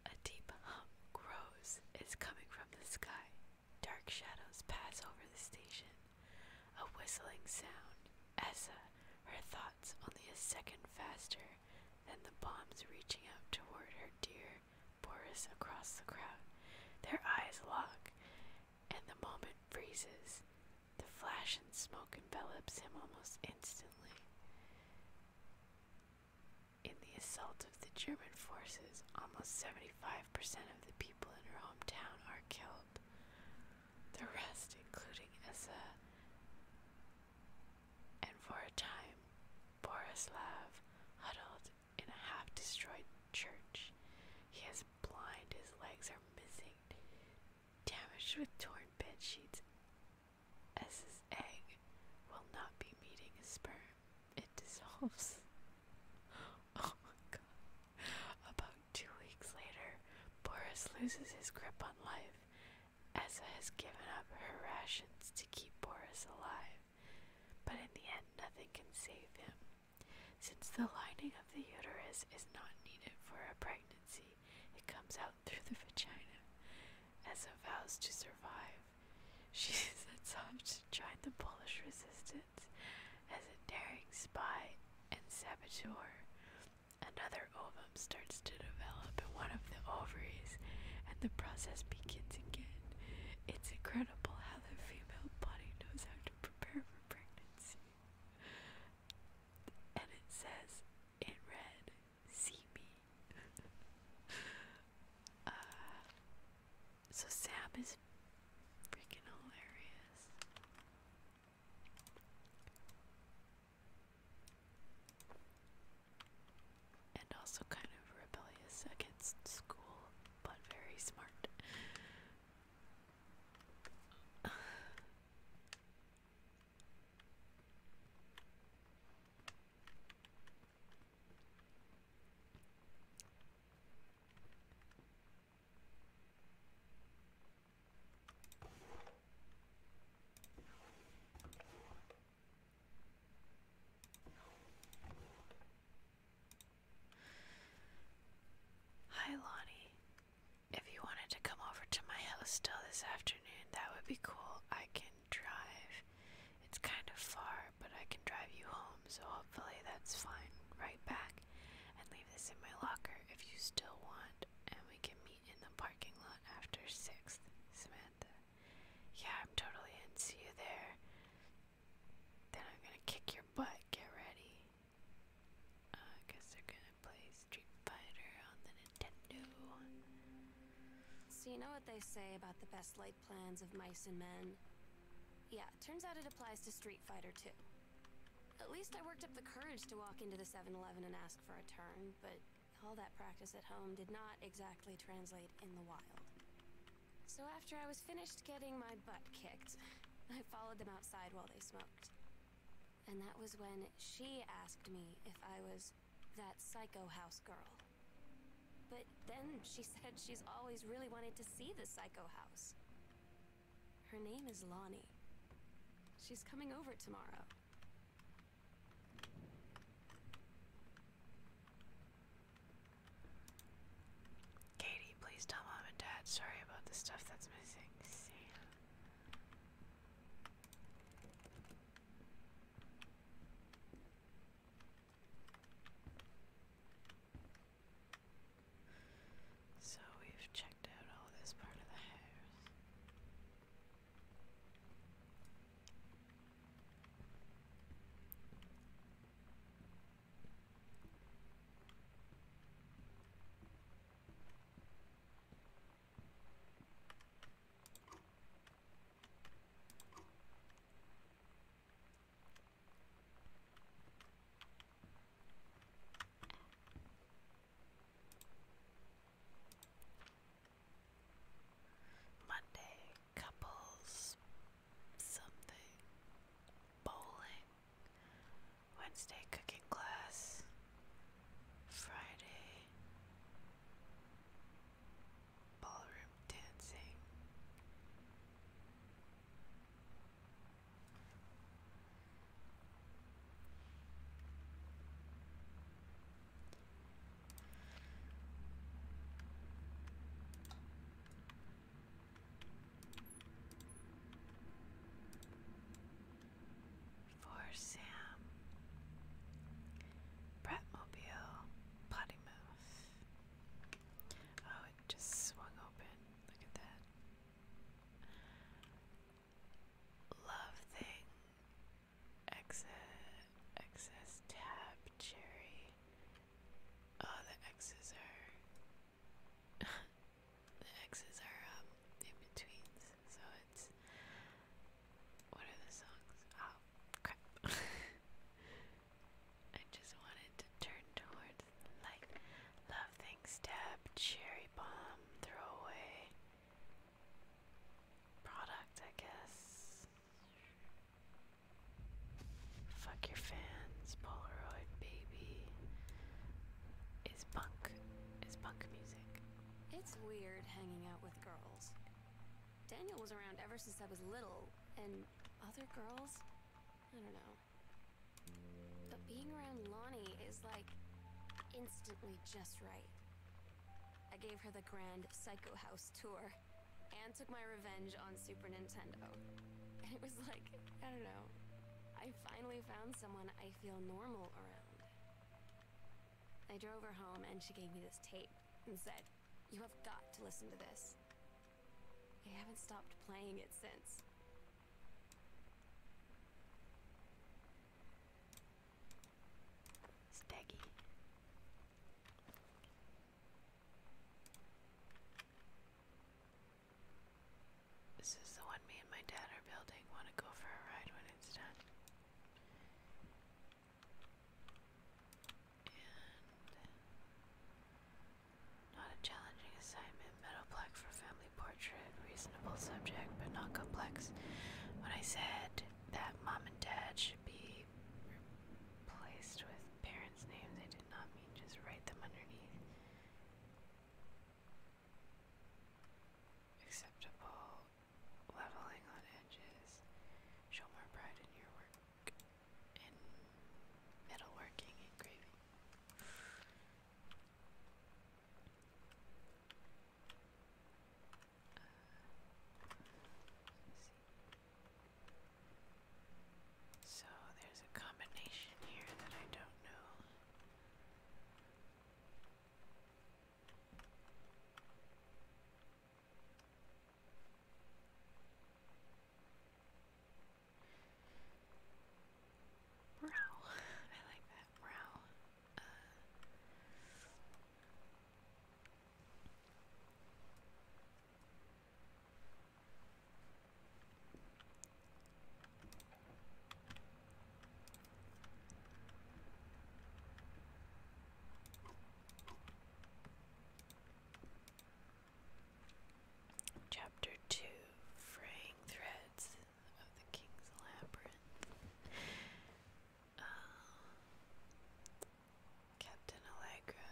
a deep hum grows, is coming from the sky. Dark shadows pass over the station, a whistling sound. Essa, her thoughts only a second faster than the bombs reaching out toward her dear Boris across the crowd. Their eyes lock, and the moment freezes. The flash and smoke envelops him almost instantly. In the assault of the German forces, almost 75% of the people in her hometown are killed. The rest, including Essa and for a time, Borislav huddled in a half destroyed church. He is blind, his legs are missing, damaged with torn bed sheets. As his egg will not be meeting a sperm, it dissolves. Oh my god. About two weeks later, Boris loses his grip on life. Essa has given up her rations to keep Boris alive, but in the end, nothing can save him. Since the lining of the uterus is not needed for a pregnancy, it comes out through the vagina as vows to survive. She sets off to join the Polish resistance as a daring spy and saboteur. Another ovum starts to develop in one of the ovaries, and the process begins again. It's incredible how the female body knows how to prepare for pregnancy and it says in red, see me. uh, so Sab is freaking hilarious. And also kind of rebellious against school, but very smart. Hi, Lonnie. If you wanted to come over to my house still this afternoon, that would be cool. I can drive. It's kind of far, but I can drive you home, so hopefully that's fine. Right back and leave this in my locker if you still want, and we can meet in the parking lot after 6th. Samantha. Yeah, I'm totally in. See you there. Then I'm gonna kick your butt. Get ready. I guess they're gonna play Street Fighter on the Nintendo. So you know what they say about the best laid plans of mice and men? Yeah, turns out it applies to Street Fighter too. At least I worked up the courage to walk into the 7-Eleven and ask for a turn, but all that practice at home did not exactly translate in the wild. So after I was finished getting my butt kicked, I followed them outside while they smoked and that was when she asked me if I was that psycho house girl. But then she said she's always really wanted to see the psycho house. Her name is Lonnie. She's coming over tomorrow. Katie, please tell mom and dad. Sorry about the stuff that's missing. See. So we've checked out all this part of the house. Monday, couples, something, bowling, Wednesday cooking class, Friday ballroom dancing for Sam, Bratmobile, Pottymouth. Oh, it just swung open. Look at that. Love thing. Exit. Excess tab. Cherry. Oh, the X's are. the X's are um, in betweens, so it's what are the songs? Oh crap! I just wanted to turn towards the light. Love things, stab, cherry bomb, throwaway, product, I guess. Fuck your fans, Polaroid baby. Is punk, is punk music. It's weird hanging out with girls. Daniel was around ever since I was little, and other girls? I don't know. But being around Lonnie is like instantly just right. I gave her the grand Psycho House tour and took my revenge on Super Nintendo. And it was like, I don't know, I finally found someone I feel normal around. I drove her home and she gave me this tape and said, You have got to listen to this. I haven't stopped playing it since. Steggy. This is the one me and my dad are building. Want to go for a ride when it's done? Uh, not a challenging assignment. Metal black for family portrait. Reasonable subject, but not complex. When I said that mom and dad should be replaced with parents' names, I did not mean just write them underneath. Acceptable leveling on edges. Show more pride in your work in metalworking engraving. Uh, so there's a combination here that I don't know. Brow. I like that brow. Uh, Chapter 2 Fraying Threads of the King's Labyrinth. Um, Captain Allegra,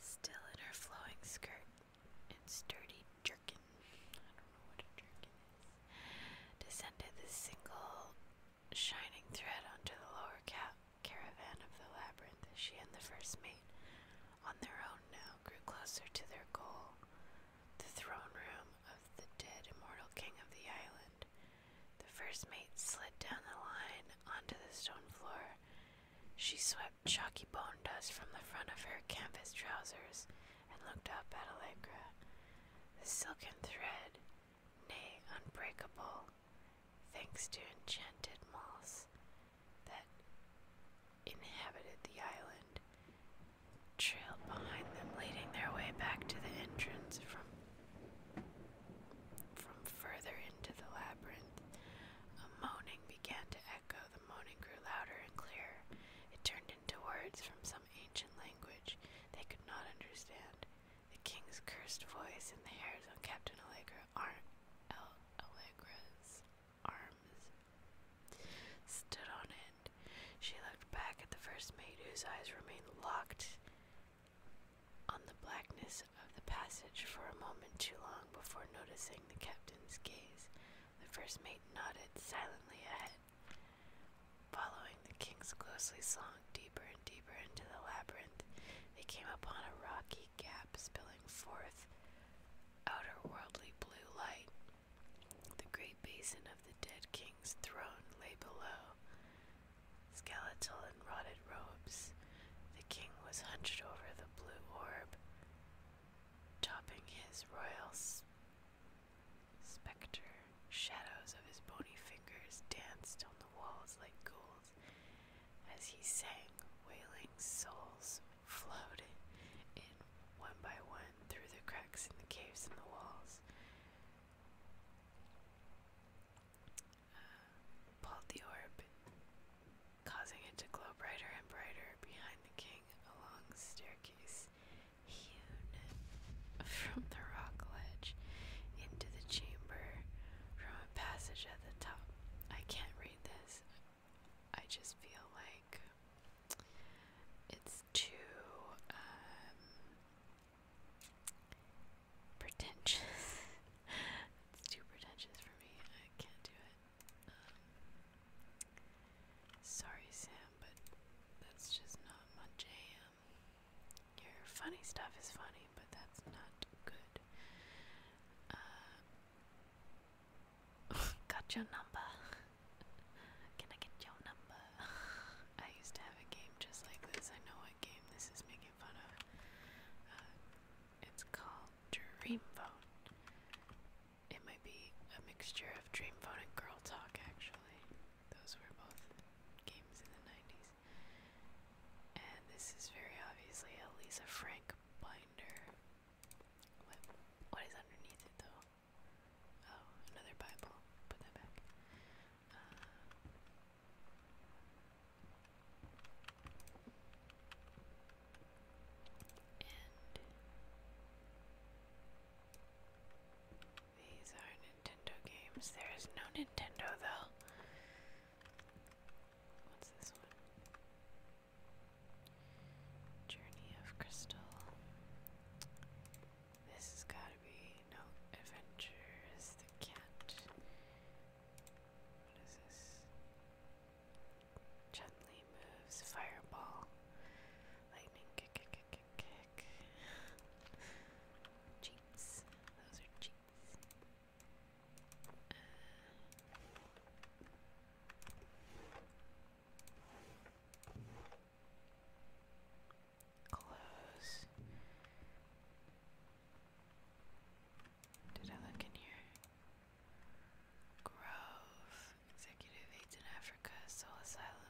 still in her flowing skirt and sturdy jerkin. I don't know what a jerkin is descended the single shining thread onto the lower ca caravan of the labyrinth. She and the first mate, on their own now, grew closer to their goal, the throne room of the dead immortal king of the island. The first mate slid down the line onto the stone floor. She swept chalky bone dust from the front of her canvas trousers and looked up at Allegra. The silken thread, nay, unbreakable, thanks to enchanted moss that inhabited the island, trailed behind them, leading their way back to the entrance from from further into the labyrinth. A moaning began to echo. The moaning grew louder and clearer. It turned into words from some ancient language they could not understand. The king's cursed voice and the hairs on Captain Allegra ar Allegra's arms stood on end. She looked back at the first mate, whose eyes remained locked on the blackness of the passage for a moment too long before noticing the captain's gaze. The first mate nodded silently ahead. Following the kings closely slunk deeper and deeper into the labyrinth, they came upon a rocky gap spilling forth outerworldly blue light. The great basin of the dead king's throne lay below. Skeletal and rotted robes, the king was hunched over the blue orb, topping his royals. Spectre, shadows of his bony fingers danced on the walls like ghouls as he sang, wailing souls flowed in one by one through the cracks in the caves in the walls. Uh, pulled the orb, causing it to glow brighter and brighter behind the king along the staircase hewn from the rock ledge into the chamber from a passage at the top. I can't read this. I just feel like it's too um, pretentious. it's too pretentious for me. I can't do it. Um, sorry, Sam, but that's just not my jam your funny stuff is funny, but that's not good. Uh, got your number. Can I get your number? I used to have a game just like this. I know what game this is making fun of. Uh, it's called Dream Phone. It might be a mixture of Dream Phone and Girl Talk, actually. Those were both games in the 90s. And this is very obviously a Lisa Frank binder. what is underneath it though? Oh, another Bible. Put that back. Uh, these are Nintendo games. There is no Nintendo though. What's this one? Journey of Crystal. This has got to be no adventure. Is the cat? What is this? Gently moves fireball, lightning kick, kick, kick, kick. Cheats. Those are cheats. Uh, Close. Did I look in here? Grove, Executive Aids in Africa, Soul Asylum,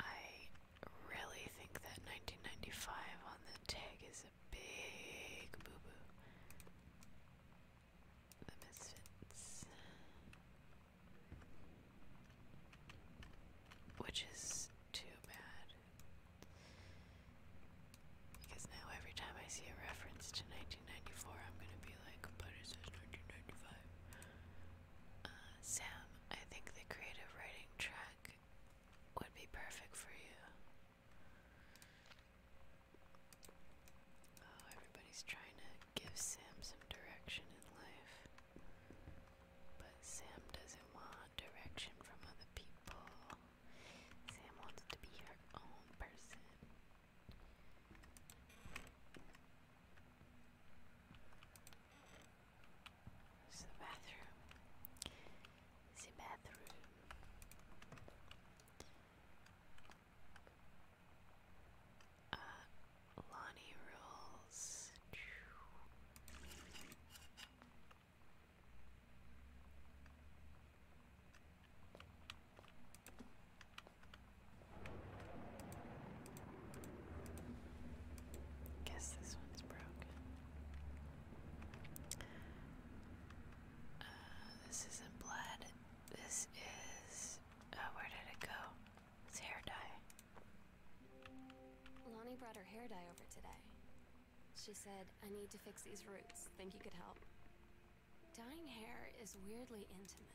I really think that 1995 on the tag is a big boo boo. The Misfits. Which is too bad. Because now every time I see a reference to 1994, I'm gonna be like, but it 1995. Uh, Sam, I think the creative writing track would be perfect for you. Oh, everybody's trying to give Sam some direction in life. But Sam doesn't want direction from other people. Sam wants to be her own person. It's the bathroom. the bathroom. Uh, Lonnie rules. Guess this one's broken. Uh, this isn't blood. This is. Uh, where did it go? It's hair dye. Lonnie brought her hair dye over today. She said, I need to fix these roots. Think you could help? Dyeing hair is weirdly intimate.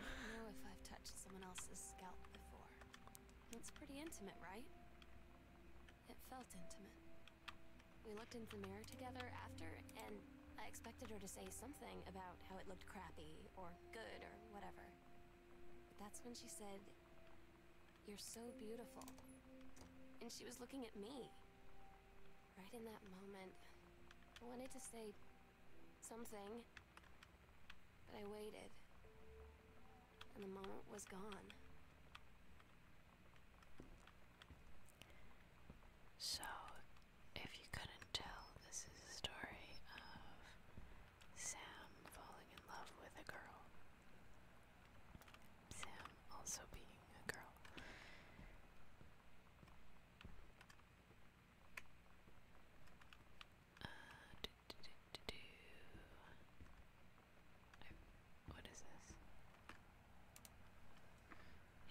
I don't know if I've touched someone else's scalp before. It's pretty intimate, right? It felt intimate. We looked in the mirror together after, and I expected her to say something about how it looked crappy, or good, or whatever. But that's when she said, You're so beautiful. And she was looking at me. Right in that moment, I wanted to say something, but I waited, and the moment was gone. So, if you couldn't tell, this is a story of Sam falling in love with a girl. Sam also being a girl. Uh, what is this?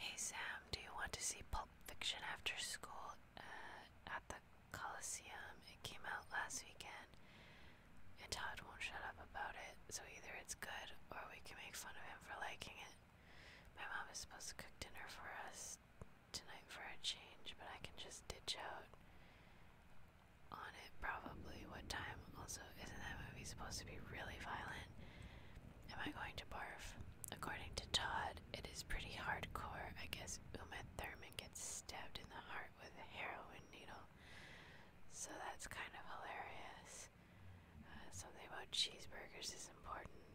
Hey Sam, do you want to see Pulp Fiction after school uh, at the Coliseum? It came out last weekend, and Todd won't shut up about it, so either it's good or we can make fun of him for liking it. My mom is supposed to cook dinner for us tonight for a change, but I can just ditch out on it probably. What time? Also, isn't that movie supposed to be really violent? Am I going to barf? According to Todd, it is pretty hardcore. I guess Uma Thurman gets stabbed in the heart with a heroin needle. So that's kind of hilarious. Uh, something about cheeseburgers is important.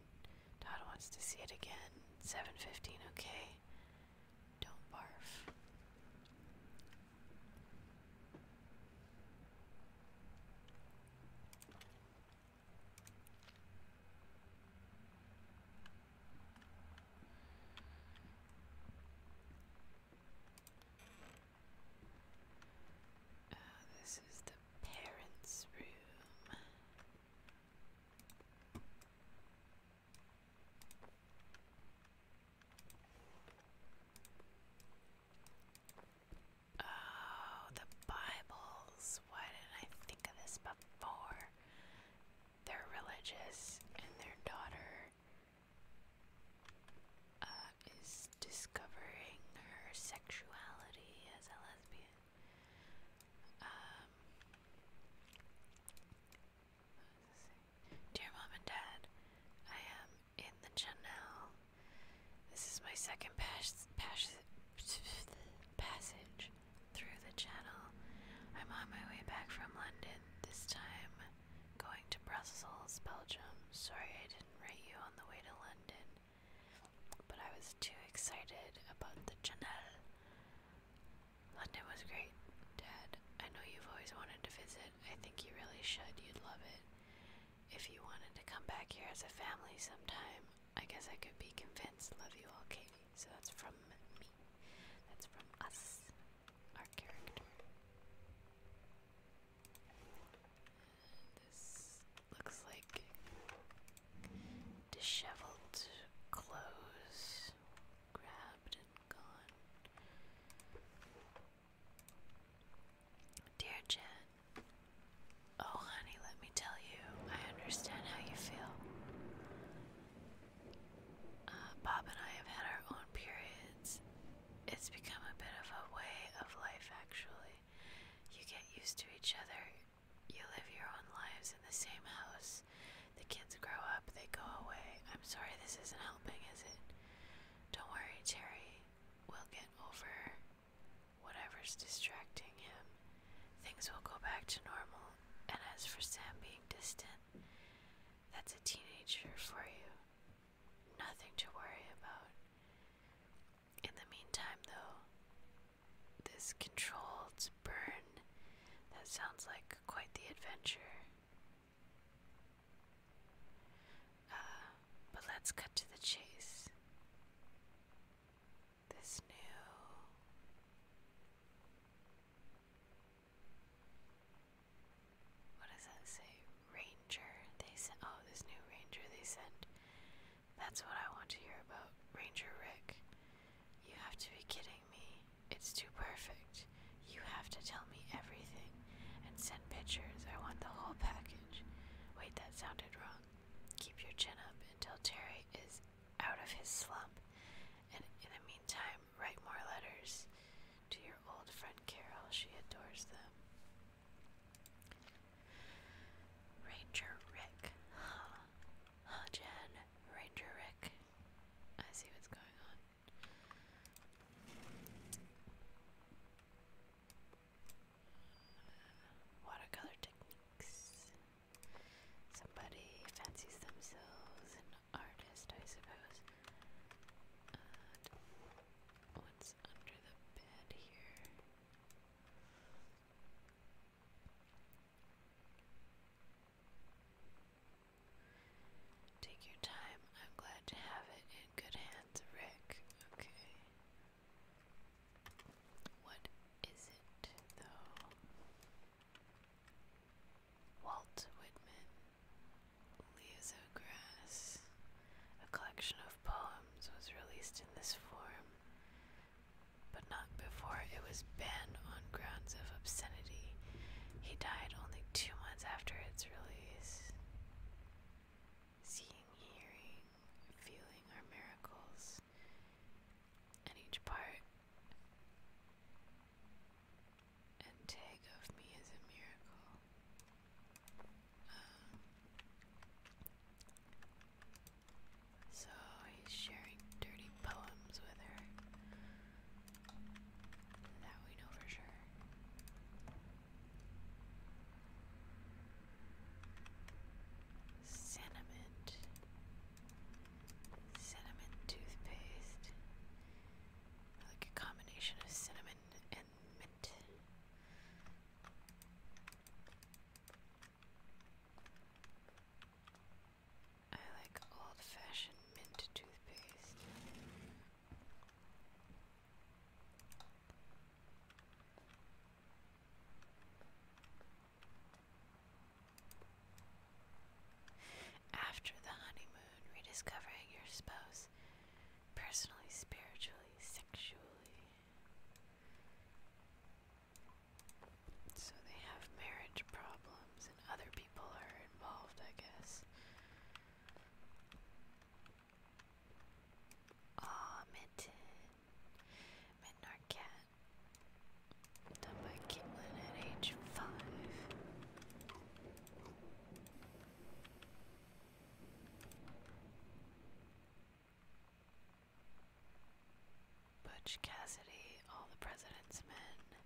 Todd wants to see it again. 7:15, okay. Don't barf. Uh, this is the parents' room. Oh, the Bibles. Why didn't I think of this before? They're religious, and their daughter uh, is discovering her sexuality as a lesbian. Um, Dear Mom and Dad, I am in the channel. This is my second pass passage through the channel. I'm on my way back from London, this time going to Brussels, Belgium. Sorry I didn't write you on the way to London, but I was too excited about the channel. London was great, Dad. I know you've always wanted to visit. I think you really should. You'd love it. If you wanted to come back here as a family sometime, I guess I could be convinced. Love you all, Katie. So that's from me. That's from us, our character. This looks like disheveled clothes grabbed Dear Jen, oh honey, let me tell you, I understand how you feel. Uh, Bob and I have had our own periods. It's become a bit of a way of life, actually. You get used to each other, you live your own lives in the same house, the kids grow up, they go away. I'm sorry this isn't helping, is it? Don't worry, Cherry. We'll get over whatever's distracting him. Things will go back to normal. And as for Sam being distant, that's a teenager for you. Nothing to worry about. In the meantime, though, this controlled burn that sounds like quite the adventure. Uh, but let's cut to the chase. This new what does that say? Ranger. They sent oh this new ranger they sent. That's what I want to hear about. Ranger Rick. You have to be kidding me. It's too perfect. You have to tell me everything and send pictures. I want the whole package. Wait, that sounded wrong. Keep your chin up until Terry is out of his slump, and in the meantime, write more letters to your old friend Carol. She adores them. Ranger Rick. Huh. Huh, Jen. Ranger Rick. I see what's going on. Watercolor techniques. Somebody fancies themselves an artist, I suppose. what's under the bed here? Take your time. I'm glad to have it in good hands, Rick. Okay. What is it, though? Walt Whitman, Liazo Grass. A collection of poems was released in this form, but not before it was banned on grounds of obscenity. He died only two months after its release. Seeing, hearing, feeling are miracles, and each part and tag of me is a miracle. Um, so he's sharing dirty poems with her. That we know for sure. Cinnamon. Cinnamon toothpaste. like a combination of cinnamon and mint. I like old fashioned mint toothpaste. After the honeymoon, rediscovering your spouse personally, spiritually, sexually. So they have marriage problems, and other people are involved, I guess. Oh, Minton. Minton Done by Caitlin at age five. Butch Cassidy, all the president's men.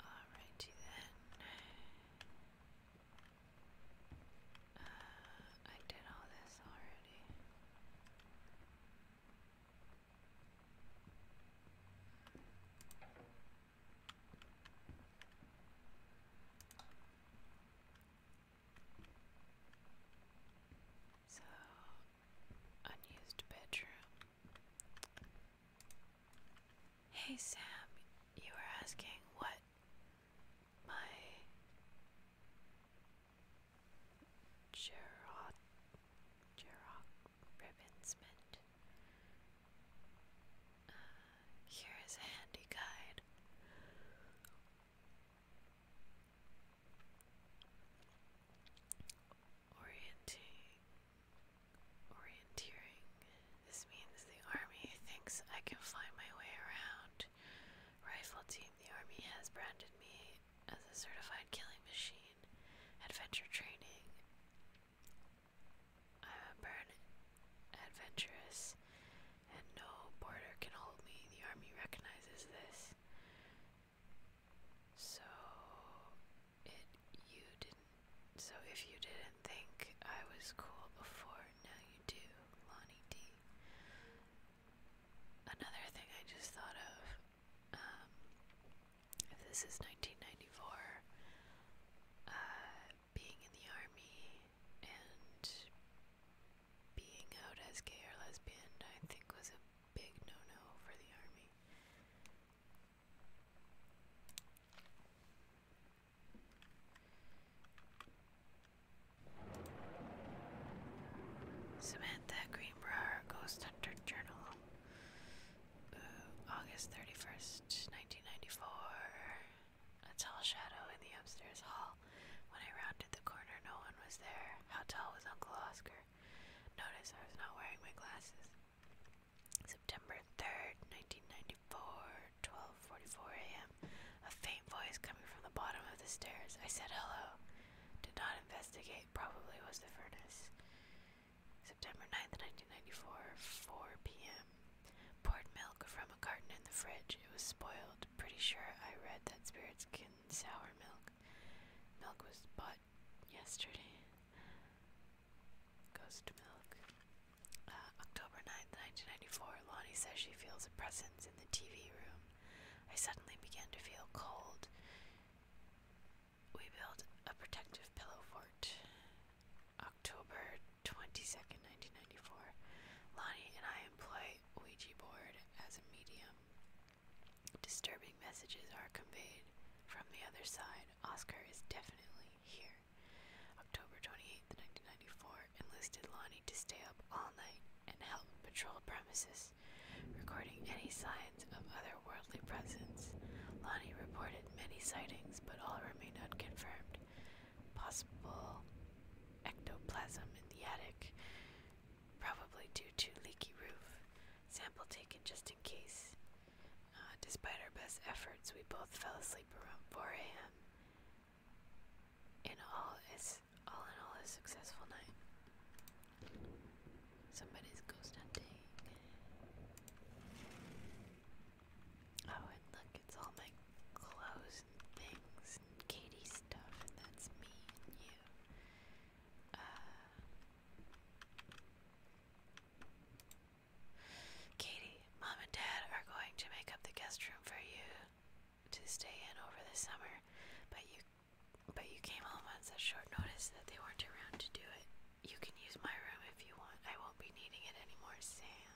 Alrighty then. Uh, I did all this already. So, unused bedroom. Hey Sam, you were asking what my Gerard Gerard ribbons here is a handy guide. Orienting, orienteering. This means the army thinks I can find my way around. Rifle team, the army has branded me as a certified killing machine. Adventure training. I am a born adventurous, and no border can hold me. The army recognizes this. So if you didn't think I was cool before, now you do, Lonnie D. Another thing I just thought of, um, this is 1994, uh, being in the army and being out as gay or lesbian, I think, was a big no no for the army. Samantha Greenbrier Ghost Hunter Journal, uh, August 31st, 1994. A tall shadow in the upstairs hall. When I rounded the corner, no one was there. How tall was Uncle Oscar? Notice I was not wearing my glasses. September 3rd, 1994, 12:44 a.m. A faint voice coming from the bottom of the stairs. I said hello. Did not investigate. Probably was the furnace. September 9th, 1994, 4 p.m. Poured milk from a carton in the fridge. It was spoiled. Pretty sure I read that spirits can sour milk. Milk was bought yesterday. Ghost milk. Uh, October 9, 1994. Lonnie says she feels a presence in the TV room. I suddenly began to feel cold. We built a protective pillow fort. October 22nd, 1994. Lonnie and I employ Ouija board as a medium. Disturbing messages are conveyed from the other side. Oscar is definitely here. October 28th, 1994. Enlisted Lonnie to stay up all night and help patrol premises, recording any signs of otherworldly presence. Lonnie reported many sightings, but all remain unconfirmed possible ectoplasm in the attic, probably due to leaky roof. Sample taken just in case. Uh, despite our best efforts, we both fell asleep around 4 a.m. In all, is all in all, a successful night. Somebody's ghost hunting. Oh, look, it's all my clothes and things and Katie's stuff, and that's me and you. Uh, Katie, Mom and Dad are going to make up the guest room for you to stay in over the summer, but you but you came home on such short notice that they weren't around to do it. You can use my room if you want. I won't be needing it anymore, Sam.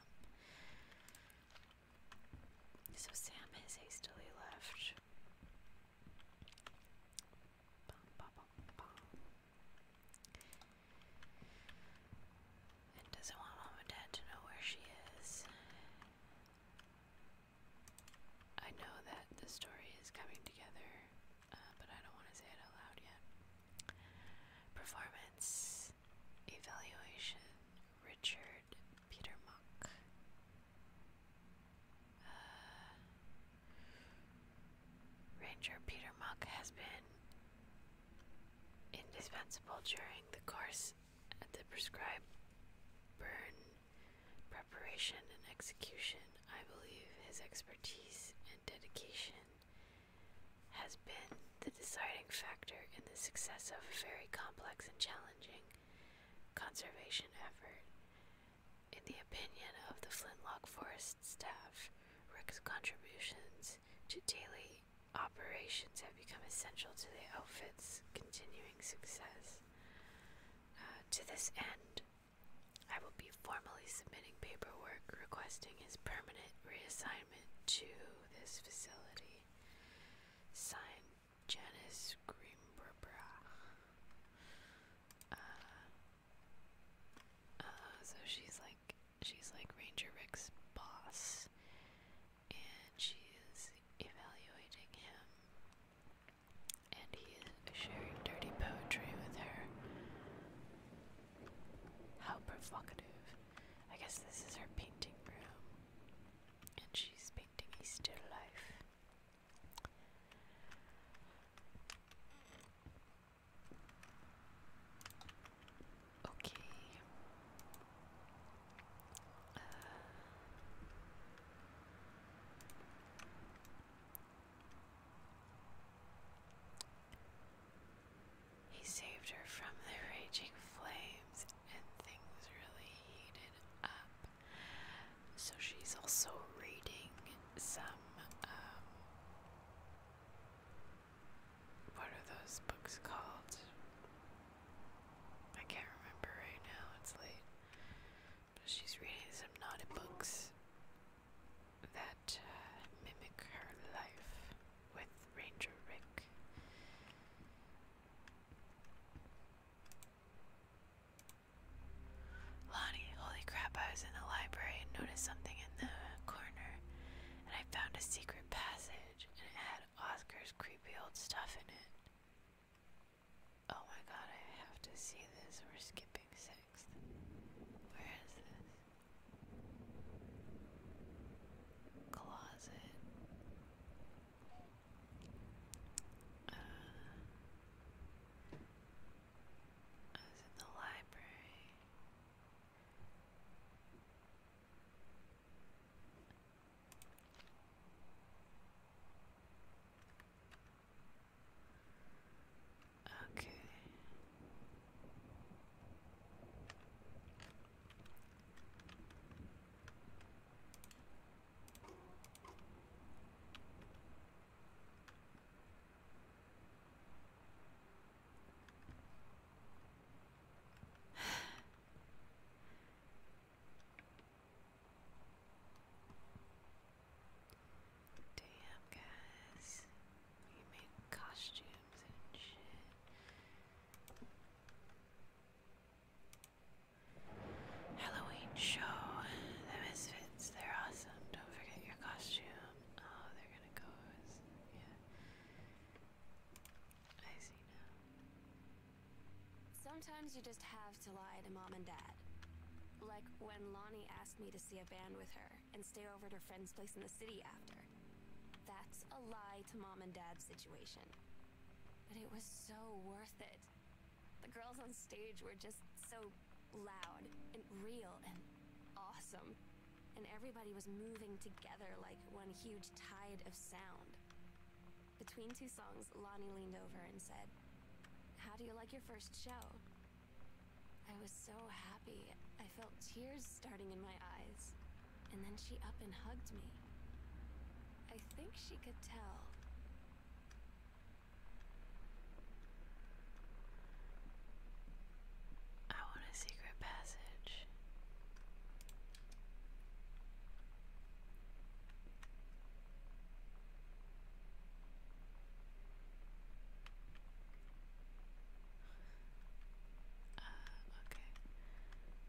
So Sam has hastily left. And doesn't want mom and dad to know where she is. I know that the story is coming together, uh, but I don't want to say it out yet. Performance Evaluation Richard Peter Monk. Uh, Ranger Peter has been indispensable during the course of the prescribed burn preparation and execution. I believe his expertise and dedication has been the deciding factor in the success of a very complex and challenging conservation effort. In the opinion of the Flintlock Forest staff, Rick's contributions to daily operations have become essential to the outfit's continuing success. Uh, to this end, I will be formally submitting paperwork requesting his permanent reassignment to this facility. Signed, Janice Greenbra. Uh, uh, so she's like, she's like Ranger Rick's boss, and she is evaluating him, and he is sharing dirty poetry with her. How provocative. I guess this is her painting room, and she's painting a life. Okay. Uh, he saved her from the raging flames, and things really heated up. So she's also reading some, um, what are those books called? I can't remember right now, it's late. But she's reading some naughty books that uh, mimic her life with Ranger Rick. Lonnie, holy crap, I was in the library and noticed something in the corner, and I found a secret passage, and it had Oscar's creepy old stuff in it. Oh my god, I have to see this. We're skipping sixth. Where is this? closet. I was in the library. Okay. Damn, guys. We made costumes and shit. Halloween show. The Misfits, they're awesome. Don't forget your costume. Oh, they're gonna go. Yeah. I see now. Sometimes you just have to lie to mom and dad. Like when Lonnie asked me to see a band with her and stay over at her friend's place in the city after. That's a lie to mom and dad's situation. But it was so worth it. The girls on stage were just so loud and real and awesome. And everybody was moving together like one huge tide of sound. Between two songs, Lonnie leaned over and said, How do you like your first show? I was so happy. I felt tears starting in my eyes and then she up and hugged me. I think she could tell. I want a secret passage. Uh, okay.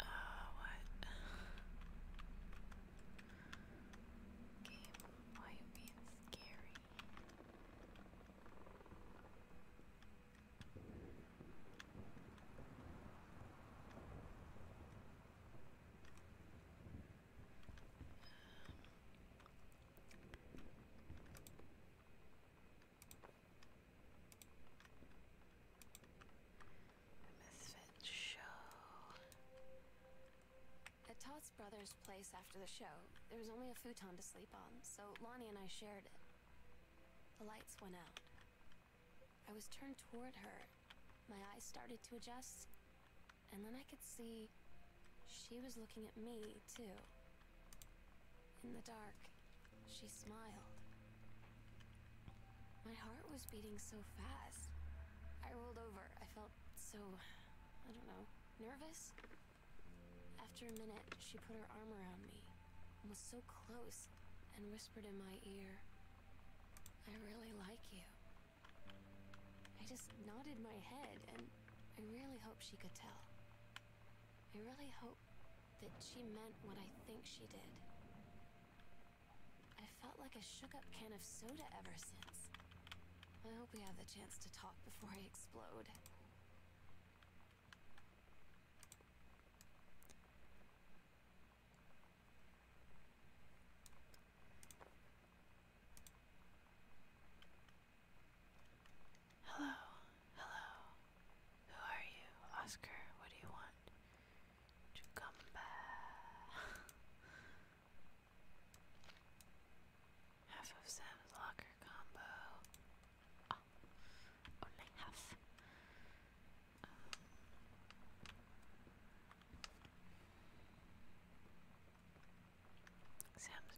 Uh, what? Game, why you being scary? Misfit show. At Todd's brother's place after the show, there was only a futon to sleep on, so Lonnie and I shared it. The lights went out. I was turned toward her. My eyes started to adjust, and then I could see she was looking at me, too. In the dark, she smiled. My heart was beating so fast. I rolled over. I felt so, I don't know, nervous? After a minute, she put her arm around me and was so close and whispered in my ear, I really like you. I just nodded my head, and I really hope she could tell. I really hope that she meant what I think she did. I felt like a shook-up can of soda ever since. I hope we have the chance to talk before I explode. Hello, hello. Who are you, Oscar? What do you want? To come back. Half of Sam's locker combo. Oh, only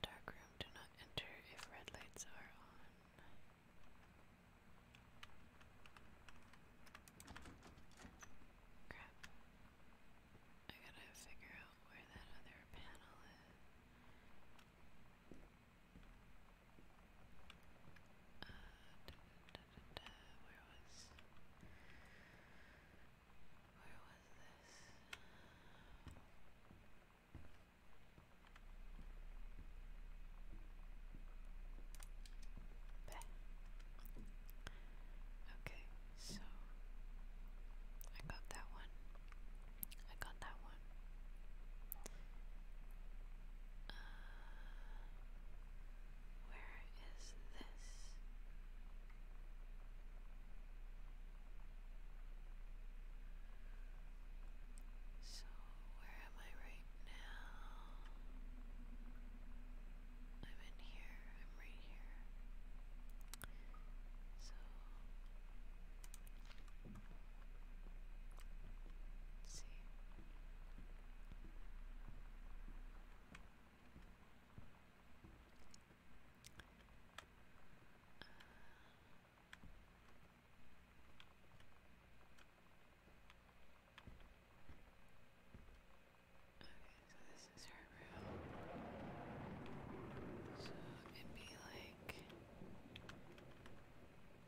dark room. Do not enter if red lights are on. Crap. I gotta figure out where that other panel is da, da, where was where was this? Bah. Okay, so I got that one. I got that one one. Uh, where is this? So, where am I right now? I'm in here, I'm right here. So, let's see so this is her room. So it'd be like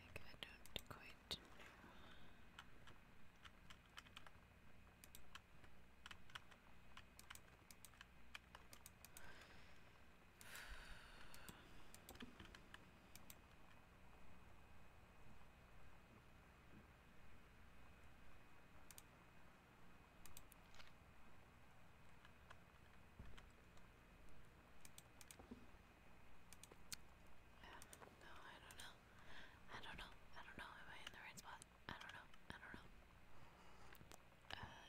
Like I don't quite know no, I don't know. I don't know. I don't know. Am I in the right spot? I don't know. I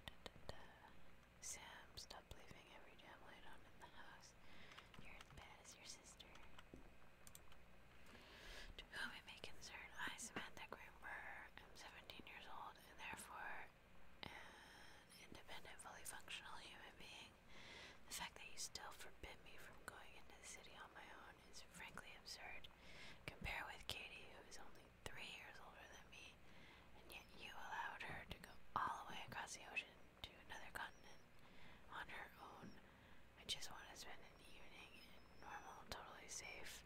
don't know. Sam, stop leaving every damn light on in the house. You're as bad as your sister. To whom it may concern, I, Samantha Grimber, am 17 years old and therefore an independent, fully functional human being. The fact that you still forbid me from going into the city on my own is frankly absurd. Compare with Katie, who is only three years older than me, and yet you allowed her to go all the way across the ocean to another continent on her own. I just want to spend an evening in normal, totally safe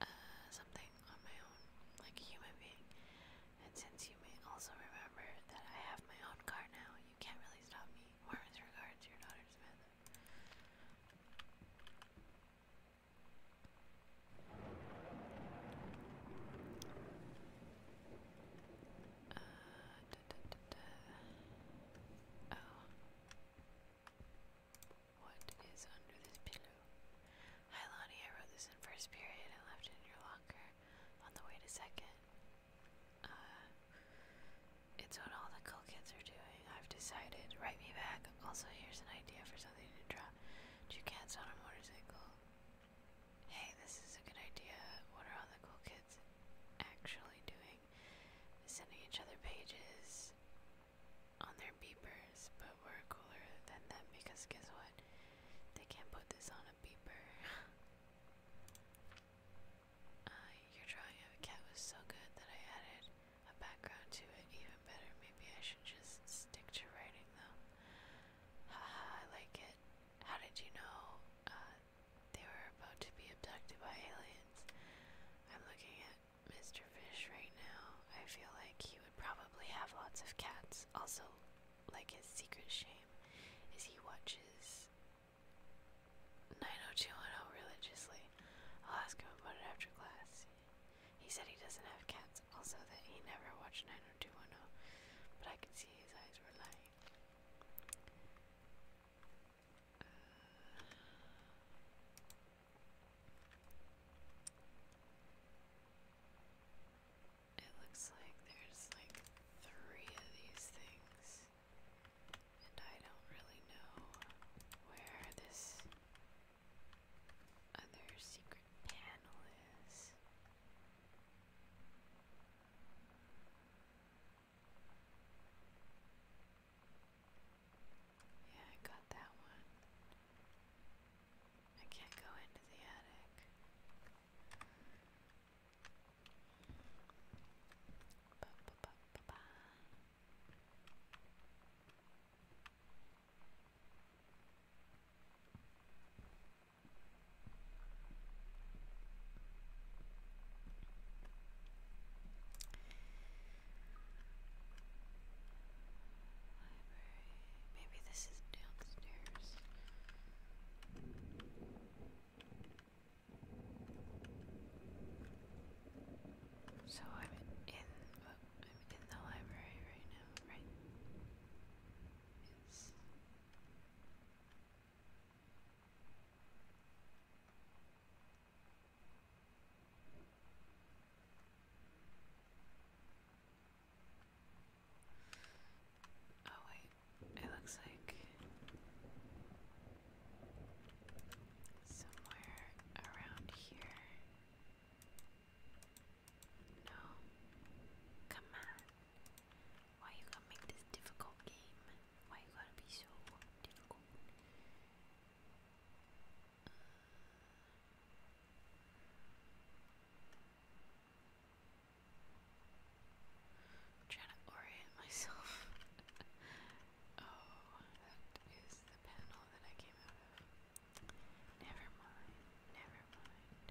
uh, something on my own, like a human being. And since you may also remember that I have my own car now, you can't really stop me. Warmest regards, your daughter Samantha. Uh, da, da, da, da. Oh. What is under this pillow? Hi Lonnie, I wrote this in first period and left it in your locker on the way to second. Uh, it's what all the cool kids are doing. I've decided. Write me back. Also, here's an idea for something to draw. Two cats on a motorcycle. Hey, this is a good idea. What are all the cool kids actually doing? Sending each other pages on their beepers, but we're cooler than them because guess what? They can't put this on a beeper. uh, your drawing of a cat was so good that I added a background to it even better. Maybe I should just stick to writing though. Haha, I like it. How did you know uh, they were about to be abducted by aliens? I'm looking at Mr. Fish right now. I feel like he would probably have lots of cats. Also, like his secret shame is he watches 90210 religiously. I'll ask him about it after class. He said he doesn't have cats, also that he never watched 90210, but I can see his eyes were lying. Uh, it looks like there's like three of these things, and I don't really know where this other secret panel is. Yeah, I got that one. I can't go into the attic. Ba -ba -ba -ba -ba. Maybe this is downstairs. So I'm in oh, I'm in the library right now, right? Yes. Oh, wait, it looks like somewhere around here. No, come on. Why you gonna make this difficult game? Why you gotta be so difficult? I'm trying to orient myself. oh, that is the panel that I came out of. Never mind, never mind.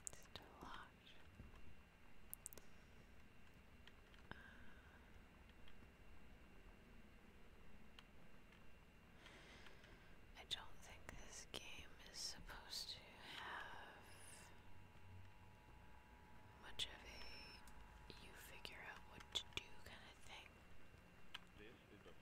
Still large. I don't think this game is supposed to have much of a you figure out what to do kind of thing.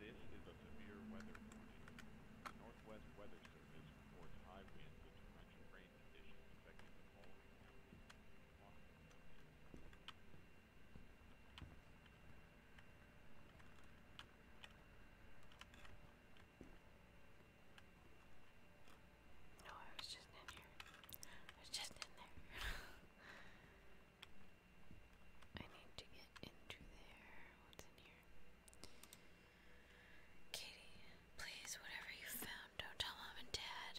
This is a severe weather warning. The Northwest Weather Service reports high winds and torrential rain conditions affecting the following counties. No, I was just in here. I was just in there. I need to get into there. What's in here? Katie, please, whatever you found, don't tell mom and dad.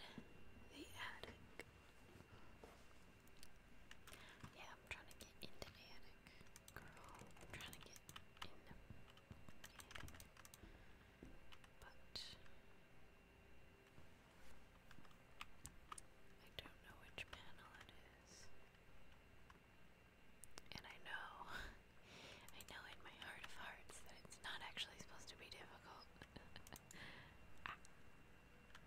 The attic. Yeah, I'm trying to get into the attic. Girl, I'm trying to get in the But I don't know which panel it is. And I know, I know in my heart of hearts that it's not actually supposed to be difficult. Ah.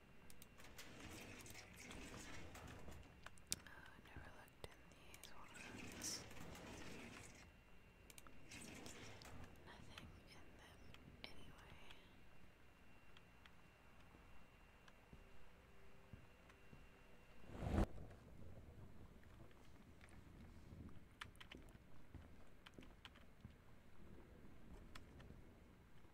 I never looked in these ones. Nothing in them anyway. Okay.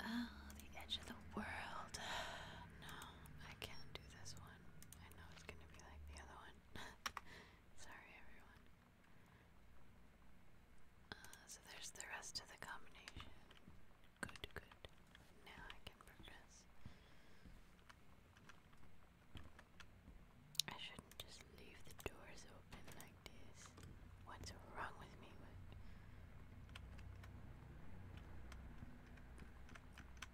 Aha. Oh, the edge of the world. No, I can't do this one. I know it's gonna be like the other one. Sorry, everyone. Uh, so there's the rest of the combination. Good, good. Now I can progress. I shouldn't just leave the doors open like this. What's wrong with me? So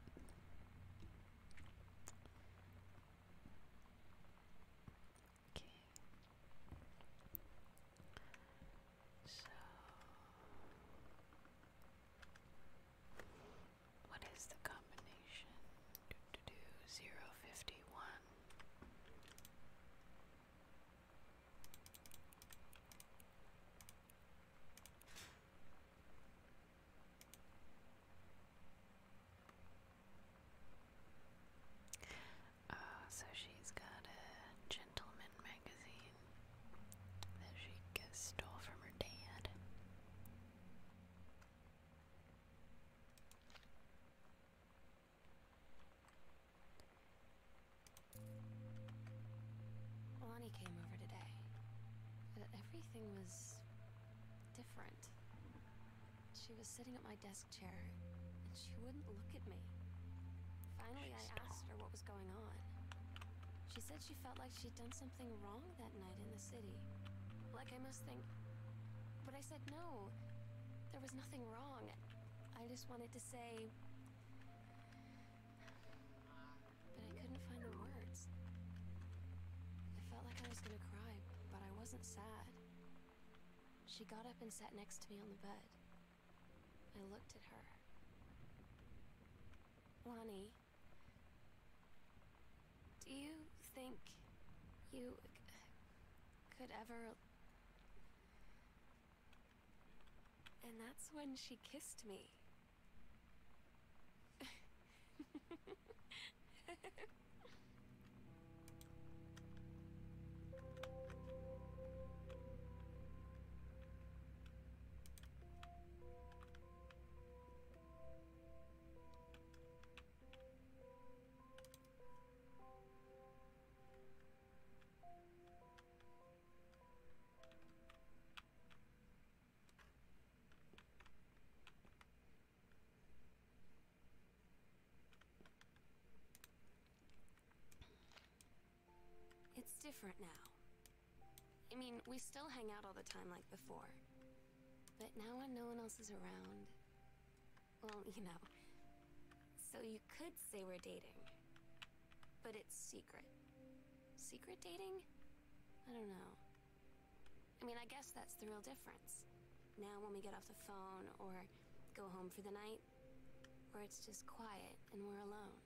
what is the combination? Do, zero fifty one. Uh, so she's got a gentleman magazine that she stole from her dad. Lonnie came over today, but everything was different. She was sitting at my desk chair, and she wouldn't look at me. Finally, I asked her what was going on. She said she felt like she'd done something wrong that night in the city. Like I must think... But I said no. There was nothing wrong. I just wanted to say but I couldn't find the words. I felt like I was gonna cry, but I wasn't sad. She got up and sat next to me on the bed. I looked at her. Lonnie, do you think you could ever and that's when she kissed me. It's different now. I mean, we still hang out all the time like before. But now when no one else is around... Well, you know. So you could say we're dating. But it's secret. Secret dating? I don't know. I mean, I guess that's the real difference. Now, when we get off the phone or go home for the night, where it's just quiet and we're alone,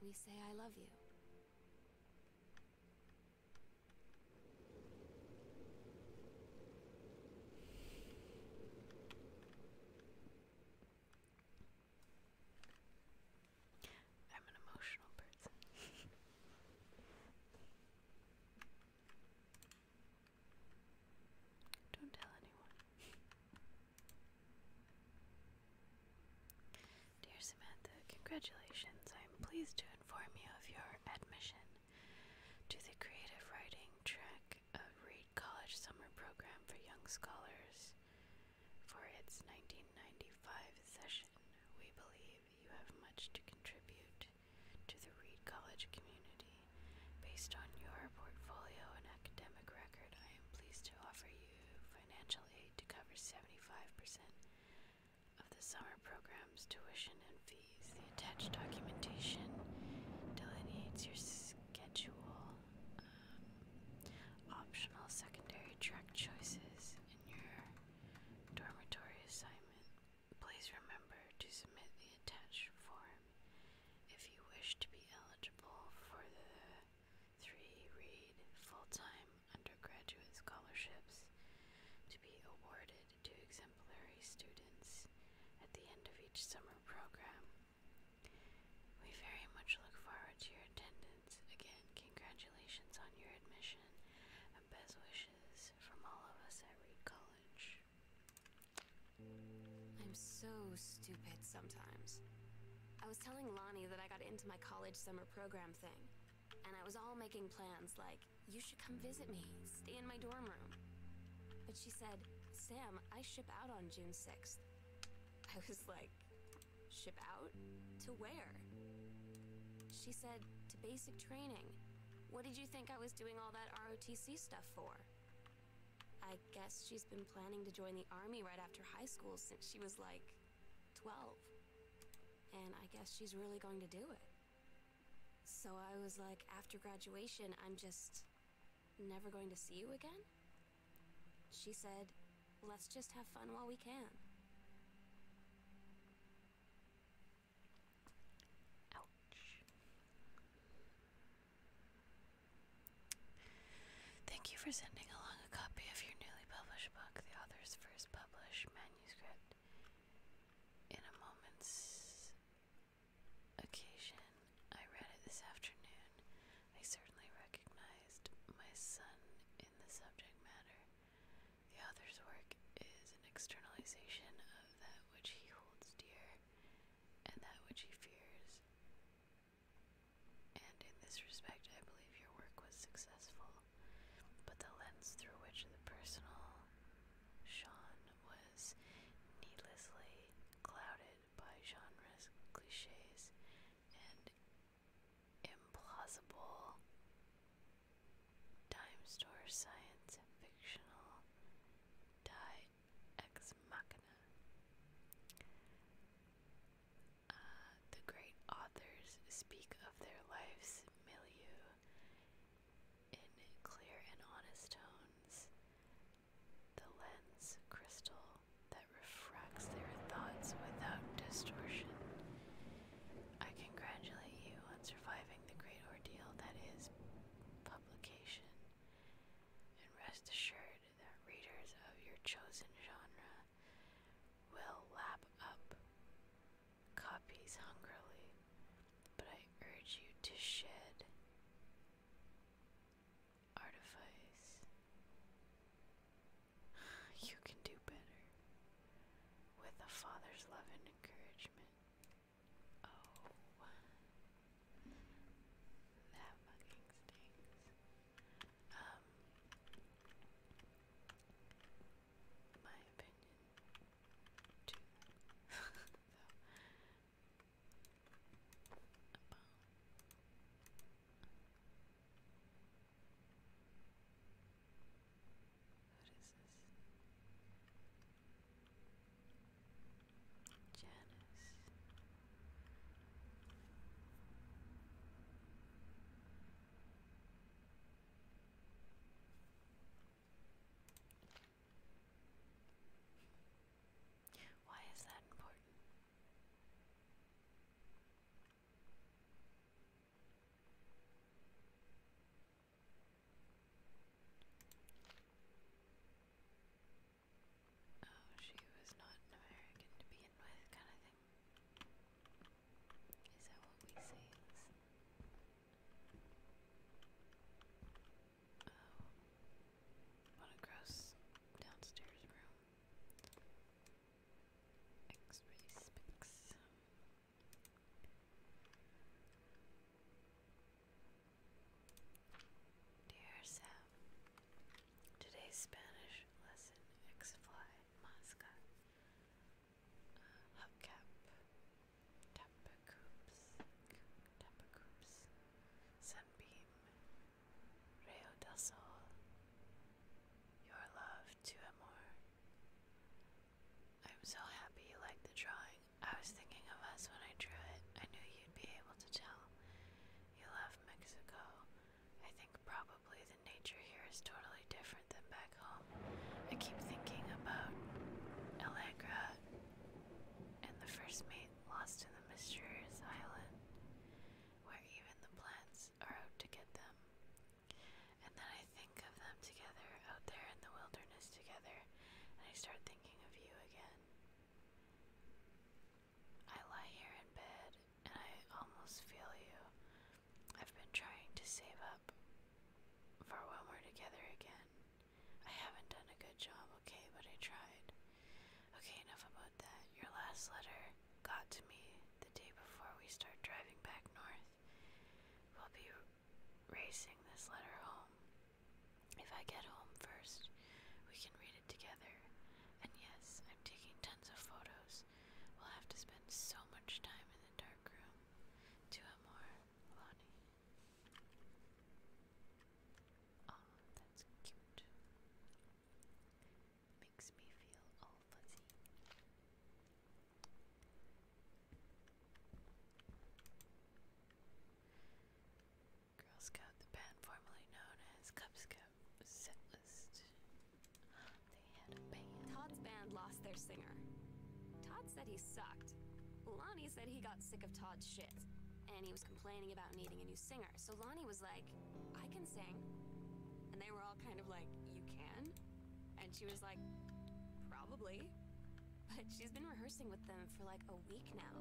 we say, I love you. I'm an emotional person. Don't tell anyone. Dear Samantha, congratulations. I am pleased to inform you of your admission to the creative writing track of Reed College Summer Program for Young Scholars for its 1995 session, we believe you have much to contribute to the Reed College community. Based on your portfolio and academic record, I am pleased to offer you financial aid to cover 75% of the summer program's tuition and fees. The attached documentation delineates your schedule. Uh, optional secondary track choices in your dormitory assignment. Please remember to submit the attached form if you wish to be eligible for the three read full-time undergraduate scholarships to be awarded to exemplary students at the end of each summer program. We very much look forward to your attendance again, congratulations on your admission and best wishes from all of us at Reed College. I'm so stupid sometimes. I was telling Lonnie that I got into my college summer program thing, and I was all making plans like, you should come visit me, stay in my dorm room. But she said, Sam, I ship out on June 6th. I was like, Ship out? To where? She said, to basic training. What did you think I was doing all that ROTC stuff for? I guess she's been planning to join the army right after high school since she was like 12. And I guess she's really going to do it. So I was like, after graduation, I'm just never going to see you again? She said, Let's just have fun while we can. Ouch. Thank you for sending along a copy of your newly published book, the author's first published manuscript. In a moment's occasion, I read it this afternoon. I certainly recognized my son in the subject matter. The author's work is an externalization of that which he holds dear and that which he fears. And in this respect, I believe your work was successful, but the lens through which the personal shone was needlessly clouded by genres, cliches, and implausible. Time Store Science Fictional Die Ex Machina. Uh, the great authors speak of their lives milieu in clear and honest tones. The lens crystal that refracts their thoughts without distortion. I congratulate you on surviving the great ordeal that is publication, and rest assured that readers of your chosen genre will lap up copies hungrily, but I urge you to shed artifice. You can do better. With a father's love and encouragement. Oh. That fucking stinks. Um. My opinion. Too. so. What is this? Janice. Why is that important? Oh, she was not an American to begin with, kind of thing. Is that what we say? Oh, what downstairs room. X-ray specs. Dear Sam, today's Spanish lesson X-fly masca. Uh, tapacoops, tapacoops, sunbeam, rayo del sol, your love to Amor. I'm so happy you like the drawing. I was thinking of us when I drew it. I knew you'd be able to tell. You love Mexico. I think probably the nature here is totally different than back home. I keep thinking about Allegra and the first mate lost in the mysterious island, where even the plants are out to get them. And then I think of them together out there in the wilderness together, and I start thinking of you again. I lie here in bed and I almost feel you. I've been trying to save up for when we're together again. I haven't done a good job, okay, but I tried. Okay, enough about that. Your last letter got to me the day before we start driving back north. We'll be racing this letter home. If I get home first, we can read it together. And yes, I'm taking tons of photos. We'll have to spend so much time in the dark room. To more, Lonnie. Oh, that's cute makes me feel all fuzzy. Girl Scout, the band formerly known as Cub Scout, setlist. They had a band. Todd's band lost their singer. Todd said he sucked. Lonnie said he got sick of Todd's shit, and he was complaining about needing a new singer. So Lonnie was like, I can sing. And they were all kind of like, you can? And she was like, probably. But she's been rehearsing with them for like a week now.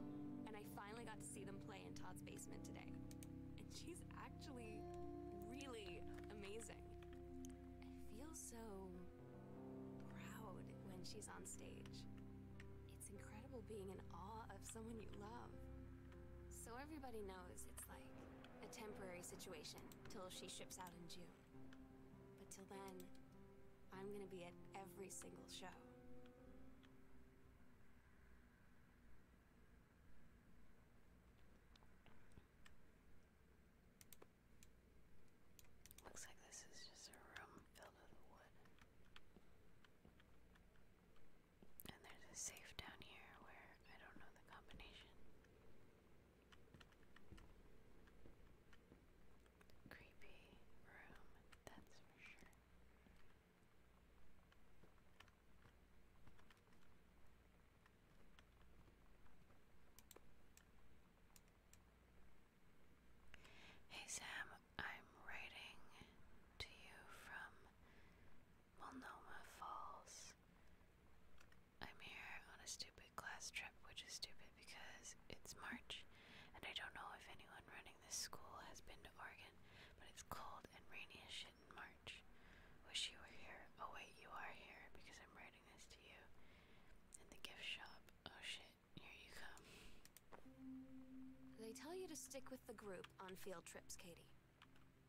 And I finally got to see them play in Todd's basement today. And she's actually really amazing. I feel so proud when she's on stage. It's incredible being in awe of someone you love. So everybody knows it's like a temporary situation, till she ships out in June. But till then, I'm gonna be at every single show. Looks like this is just a room filled with wood. And there's a safe down here where I don't know the combination. Creepy room, that's for sure. Hey Sam, I'm writing to you from Monoma Falls, I'm here on a stupid class trip, which is stupid because it's March, and I don't know if anyone running this school has been to Oregon, but it's cold and rainy as shit in March. Wish you were here. Oh, wait, you are here because I'm writing this to you in the gift shop. Oh shit, here you come. They tell you to stick with the group on field trips, Katie.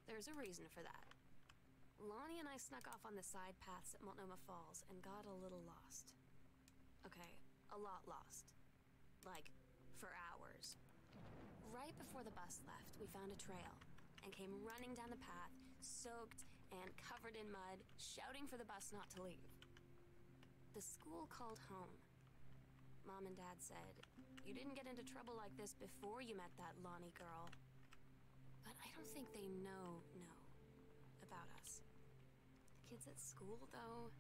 There's a reason for that. Lonnie and I snuck off on the side paths at Multnomah Falls and got a little lost. Okay, a lot lost. Like, for hours. Right before the bus left, we found a trail and came running down the path, soaked and covered in mud, shouting for the bus not to leave. The school called home. Mom and Dad said, You didn't get into trouble like this before you met that Lonnie girl. But I don't think they know, know about us. The kids at school, though,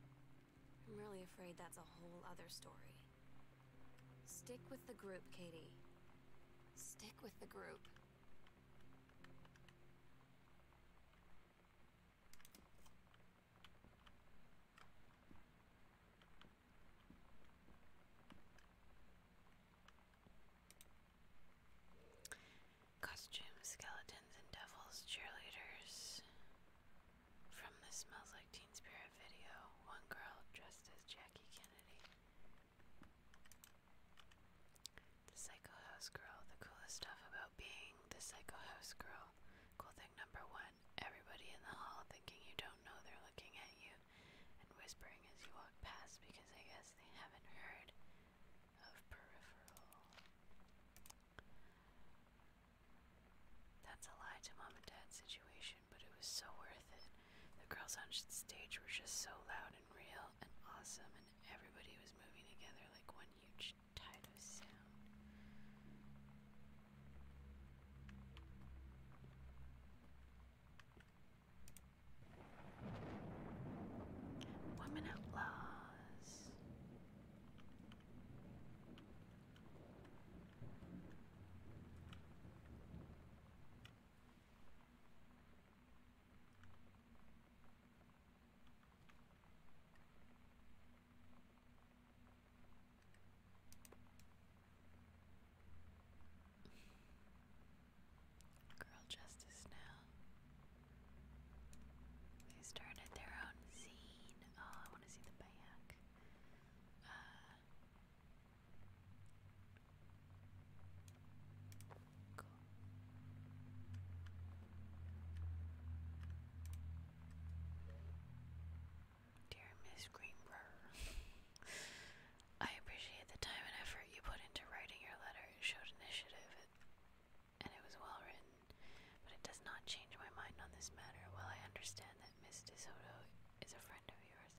I'm really afraid that's a whole other story. Stick with the group, Katie. Stick with the group. Costumes, skeletons, and devils, cheerleaders. From the Smells Like Teen Spirit video, one girl dressed as Jackie Kennedy. The Psycho House Girl. The coolest stuff about being the Psycho House Girl. Cool thing number one everybody in the hall thinking you don't know they're looking at you and whispering as you walk past because I guess they haven't heard of peripheral. That's a lie to mom and dad situation, but it was so worth it. The girls on stage were just so loud and real and awesome, and everybody was moving together like one huge tide of sound. Women Outlaws. Girl Justice now. They started their own scene. Oh, I want to see the back. Uh, Dear Miss Greenbrier, I appreciate the time and effort you put into writing your letter. It showed initiative, and it was well written. But it does not change my mind on this matter. While I understand that Miss DeSoto is a friend of yours,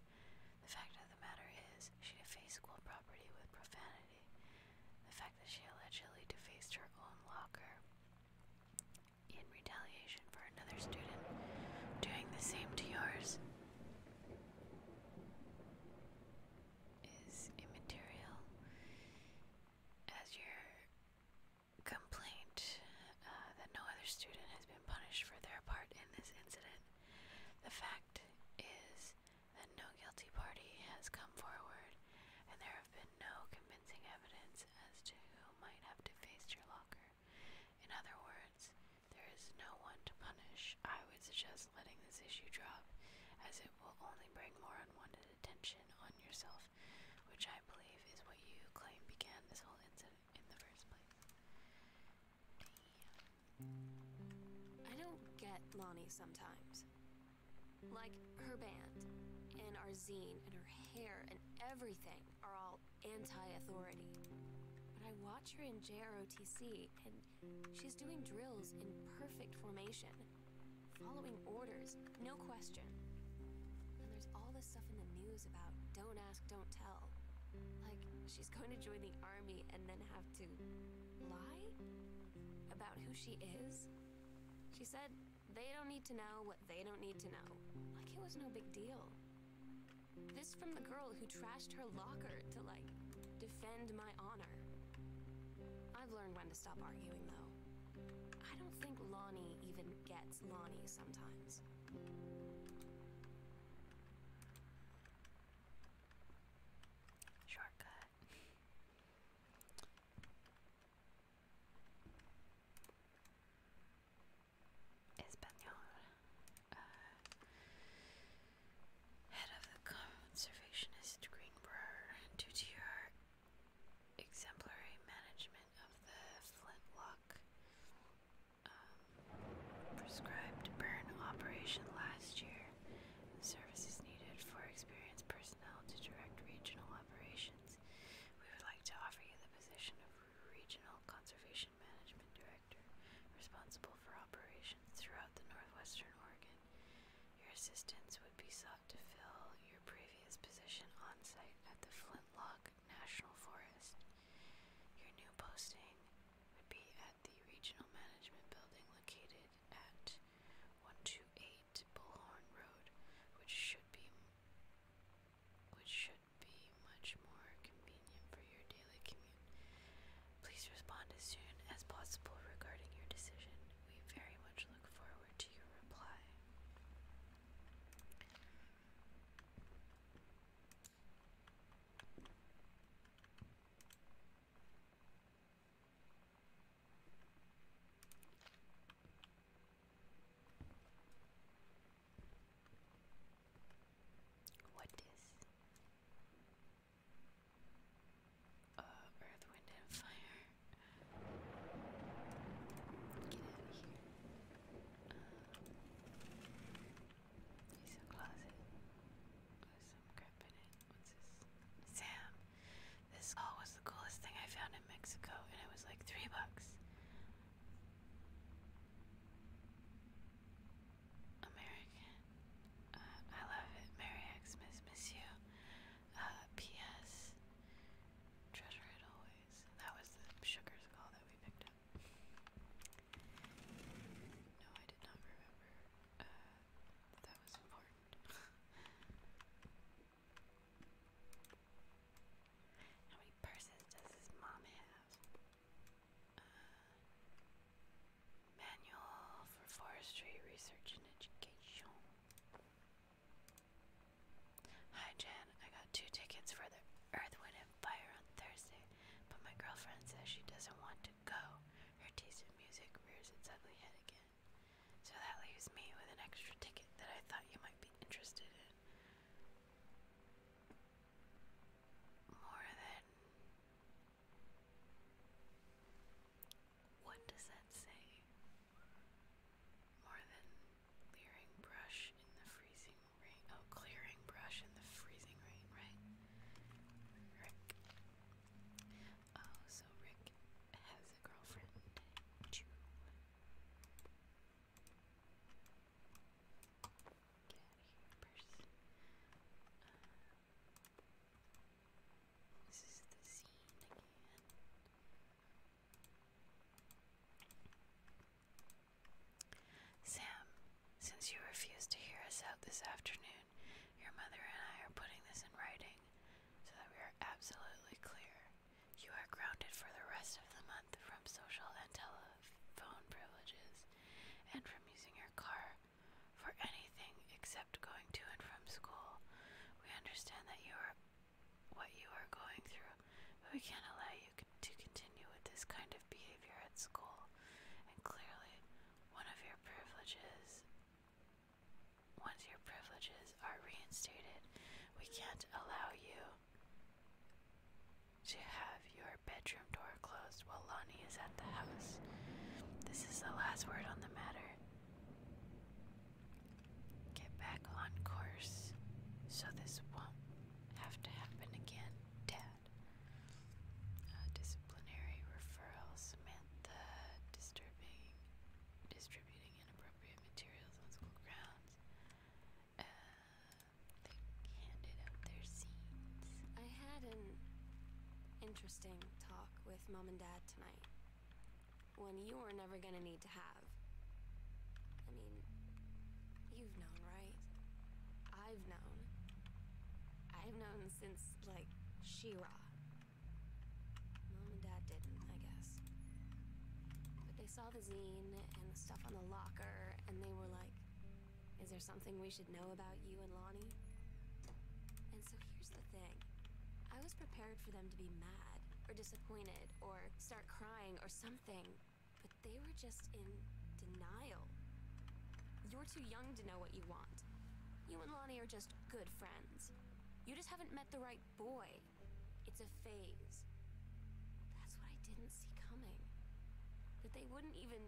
the fact of the matter is she defaced school property with profanity. The fact that she allegedly defaced her own locker in retaliation for another student doing the same to yours is immaterial, as your complaint uh, that no other student has been punished for their part in this incident. The fact is that no guilty party has come forward, and there have been no convincing evidence as to who might have defaced your locker. In other words, there is no one to punish. I would suggest letting this issue drop, as it will only bring more unwanted attention on yourself, which I believe is what you claim began this whole incident in the first place. I don't get Lonnie sometimes. Like her band, and our zine, and her hair, and everything are all anti authority. But I watch her in JROTC, and She's doing drills in perfect formation, following orders, no question. And there's all this stuff in the news about don't ask, don't tell. Like, she's going to join the army and then have to lie about who she is. She said they don't need to know what they don't need to know. Like it was no big deal. This from the girl who trashed her locker to, like, defend my honor. I've learned when to stop arguing, though. I don't think Lonnie even gets Lonnie sometimes. Shortcut. Espanol. Uh, head of the conservationist Greenbrier, due to your exemplary management of the flintlock um, prescribed burn operation last year. The services needed for experienced personnel to direct regional operations. We would like to offer you the position of Regional Conservation Management Director, responsible for operations throughout the northwestern Oregon. Your assistance would be sought to fill your previous position on site at the Flintlock National Forest. Your new posting would be at the Regional Management Building located at 128 Bullhorn Road, which should be which should be much more convenient for your daily commute. Please respond as soon as possible regarding your decision. We very much look forward to your reply. What is? Uh, earth, wind, and fire. Get out of here. Um, closet with some crap in it. What's this? Sam! This all was the coolest thing I found in Mexico, and it was like three bucks. American. Uh, I love it. Merry Xmas, miss you. Uh, P.S. Treasure it always. That was the sugar skull that we picked up. No, I did not remember uh, that, that was important. How many purses does his mom have? manual for Forestry Research and Education. Hi Jen, I got two tickets for the Earthwind and Fire on Thursday, but my girlfriend says she doesn't want to go. Her taste in music rears its ugly head again. So that leaves me with an extra ticket that I thought you might be interested in. More than what does that say? More than clearing brush in the freezing rain. Oh, clearing brush in the freezing rain, right? Rick. Oh, so Rick has a girlfriend. Sam, since you refused to hear us out this afternoon, your mother and I are putting this in writing so that we are absolutely clear. You are grounded for the rest of the month from social and telephone privileges and from using your car for anything except going to and from school. We understand that you are what you are going through, but we can't allow you to continue with this kind of behavior at school. And clearly, one of your privileges, once your privileges are reinstated, we can't allow you to have your bedroom door closed while laundry Connie is at the house. This is the last word on the matter. Get back on course so this won't have to happen again, Dad. Uh, disciplinary referral, Samantha disturbing, distributing inappropriate materials on school grounds. Uh, they handed out their seats. I had an interesting talk with mom and dad tonight. when you are never gonna need to have. I mean, you've known, right? I've known. I've known since, like, Shira. Mom and Dad didn't, I guess. But they saw the zine and the stuff on the locker, and they were like, is there something we should know about you and Lonnie. And so here's the thing. I was prepared for them to be mad, or disappointed, or start crying, or something. But they were just in denial. You're too young to know what you want. You and Lonnie are just good friends. You just haven't met the right boy. It's a phase. That's what I didn't see coming. That they wouldn't even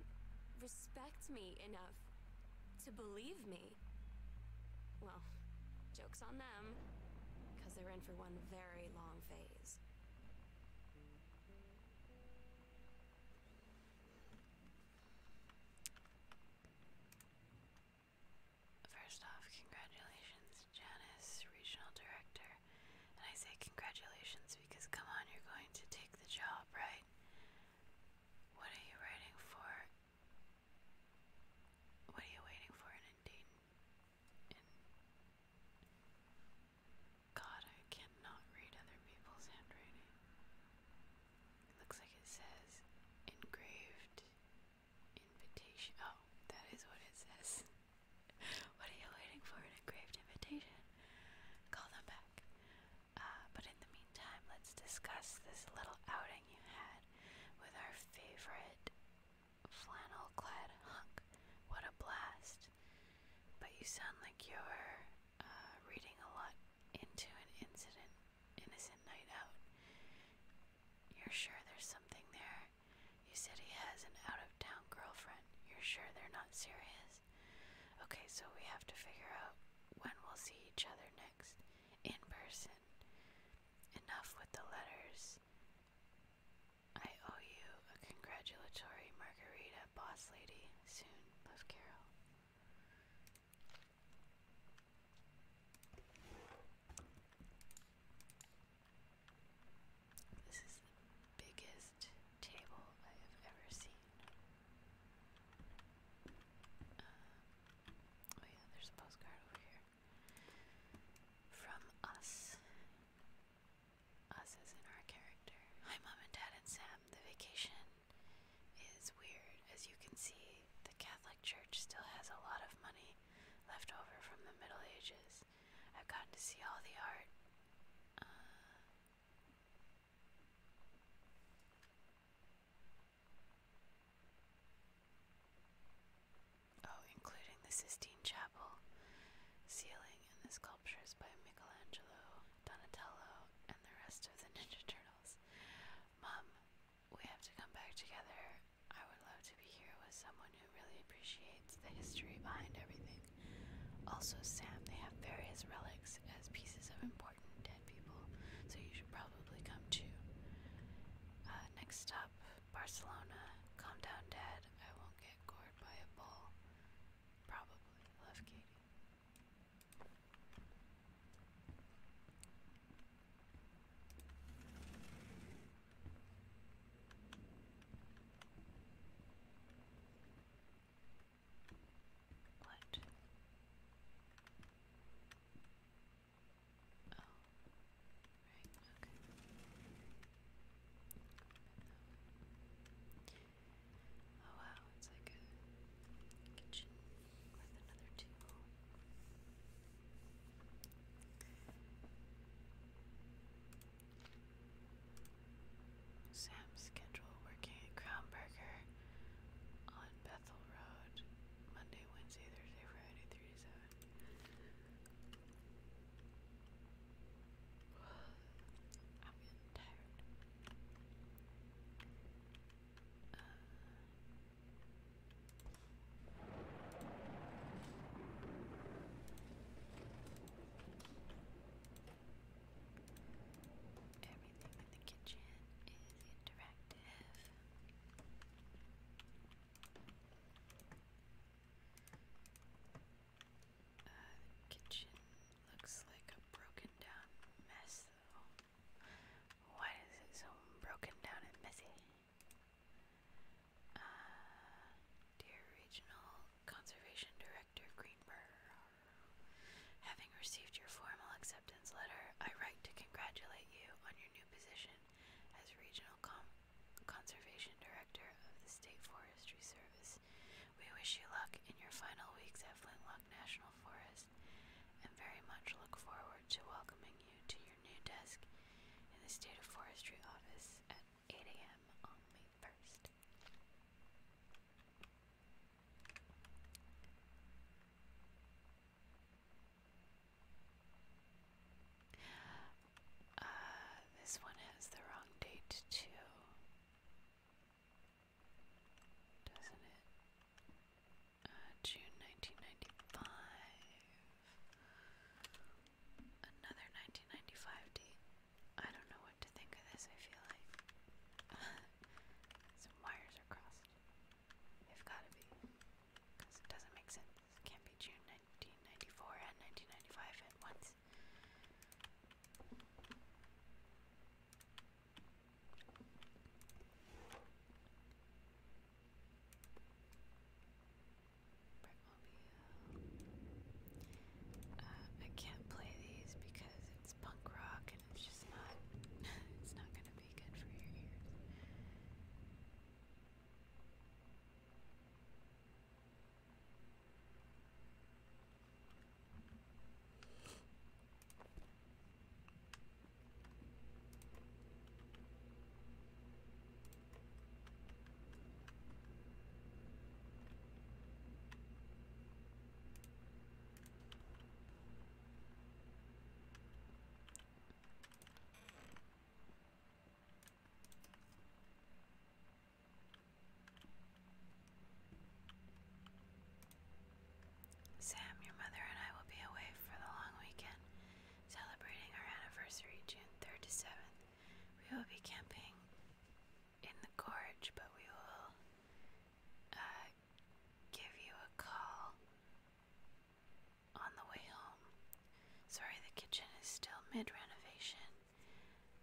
respect me enough to believe me. Well, joke's on them, because they're in for one very long phase. First off, congratulations, Janice, Regional Director. And I say congratulations because, come on, you're going to take the job, right? What are you writing for? What are you waiting for in Indeed? God, I cannot read other people's handwriting. looks like it says engraved invitation. Oh, that is what it says. what are you waiting for? An engraved invitation? Call them back. Uh, but in the meantime, let's discuss this little outing you had with our favorite flannel clad hunk. What a blast! But you sound like you're uh, reading a lot into an incident, innocent night out. You're sure there's something there? You said he has an out of town girlfriend. You're sure they're not serious? Okay, so we have to figure out when we'll see each other next in person. Enough with the letters. I owe you a congratulatory margarita, boss lady. Soon, love Carol. This is the biggest table I have ever seen oh yeah, there's a postcard over here. From us. Us as in our character. Hi Mom and Dad and Sam. The vacation is weird. As you can see, the Catholic Church still has a lot of money left over from the Middle Ages. I've gotten to see all the art. Uh, Oh, including the Sistine Chapel, ceiling, and the sculptures by Michelangelo, Donatello, and the rest of the Ninja Turtles. Mom, we have to come back together. I would love to be here with someone who really appreciates the history behind everything. Also, Sam, they have various relics as pieces of importance dead people, so you should probably come too. Uh, next up, Barcelona. Calm down, Dad. I won't get gored by a bull. Probably. Love Katie. What? Oh, right, okay. Oh wow, it's like a kitchen with another table. Sam's schedule working at Crown Burger on Bethel Road Monday, Wednesday, Thursday, Friday, 3 to 7. I'm tired. Uh, everything in the kitchen is interactive. Uh, the kitchen looks like a broken down mess, Why is it so broken down and messy? Uh, dear Regional Conservation Director Greenberg, having received your formal acceptance acceptance letter, I write to congratulate you on your new position as Regional Conservation Director of the State Forestry Service. We wish you luck in your final weeks at Flintlock National Forest and very much look forward to welcoming you to your new desk in the State of Forestry Office at 8 a.m. on May 1st. Uh, this one has the wrong date too. Doesn't it? Uh, June 1995. Another 1995 date. I don't know what to think of this, I feel like. Some wires are crossed. They've got to be. Because it doesn't make sense. It can't be June 1994 and 1995 at once. Uh, uh, I can't play these because it's punk rock and it's just not it's not gonna be be good for your ears. Sam, your mother and I will be away for the long weekend, celebrating our anniversary June 3rd to 7th. We will be camping in the gorge, but we will uh, give you a call on the way home. Sorry, the kitchen is still mid renovation.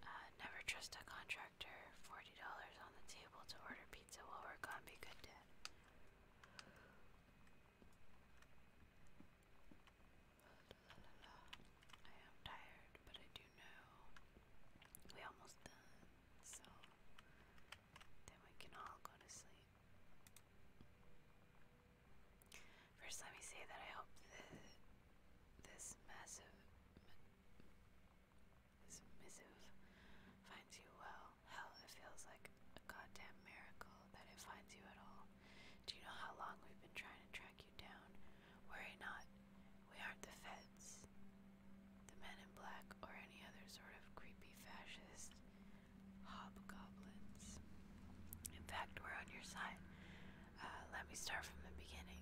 Uh, never trust a contractor. $40 on the table to order pizza while we're gone. Be good, Dad. I am tired, but I do know we almost done. So then we can all go to sleep. First, let me say that I hope this massive, this missive finds you well. Hell, it feels like a goddamn miracle that it finds you at all. Do you know how long we've been trying to track you down? Worry not, we aren't the feds, the men in black, or any other sort of creepy fascist hobgoblins. In fact, we're on your side. Uh, let me start from the beginning.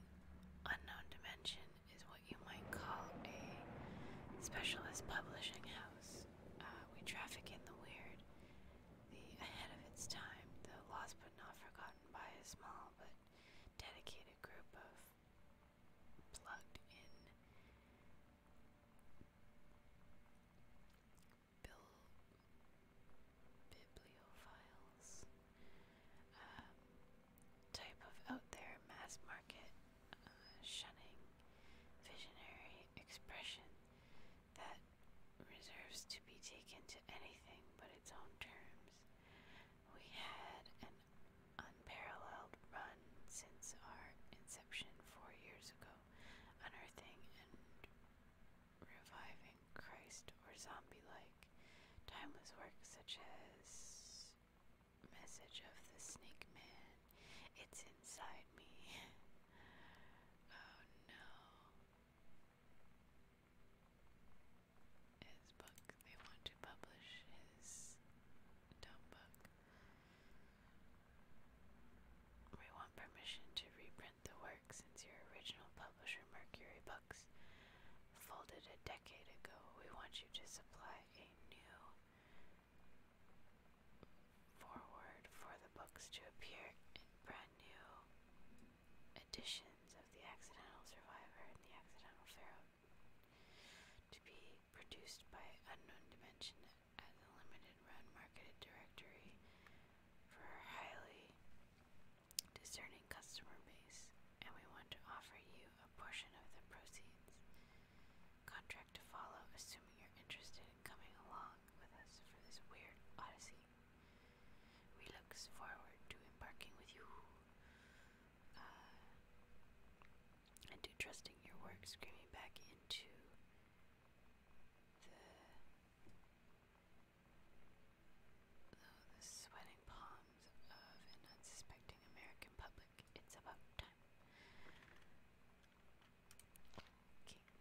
Unknown Dimension is what you might call a specialist publishing house. Uh, we traffic in the weird, the ahead of its time, the lost but not forgotten by a small but dedicated group of plugged in Bill bibliophiles um, type of out there mass market uh, shunning visionary expression that reserves to be taken to anything but its own terms. We had an unparalleled run since our inception four years ago unearthing and reviving Christ or zombie like timeless works such as Message of the Snake Man. It's inside me. oh no. His book. They want to publish his dumb book. We want permission to reprint the work since your original publisher, Mercury Books, folded a decade ago. We want you to supply a new forward for the books to appear in brand new editions of The Accidental Survivor and The Accidental Pharaoh to be produced by Unknown Dimension at the limited run marketed directory for our highly discerning customer base, and we want to offer you a portion of the proceeds. Contract to follow, assuming you're interested in coming along with us for this weird odyssey. We look forward to embarking with you. Uh, and do trusting your work, screaming back into the, oh, the sweating palms of an unsuspecting American public. It's about time. Okay.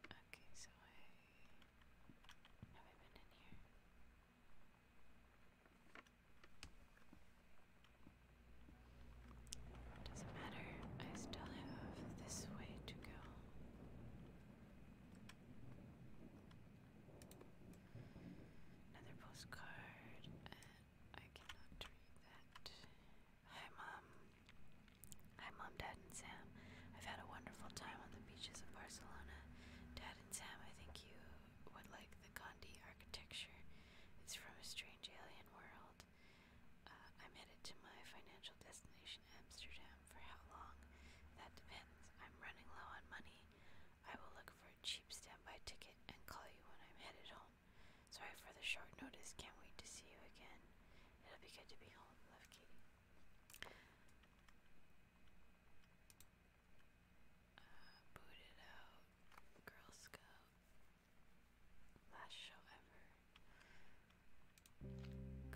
Okay, so I have I been in here? Doesn't matter, I still have this way to go. Another postcard, and I cannot read that. Hi, Mom. Hi, Mom, Dad, and Sam. I've had a wonderful time on the beaches of Barcelona. Dad Sam, I think you would like the Gandhi architecture. It's from a strange alien world. Uh, I'm headed to my financial destination, Amsterdam. For how long? That depends. I'm running low on money. I will look for a cheap standby ticket and call you when I'm headed home. Sorry for the short notice. Can't wait to see you again. It'll be good to be home. Love, Katie.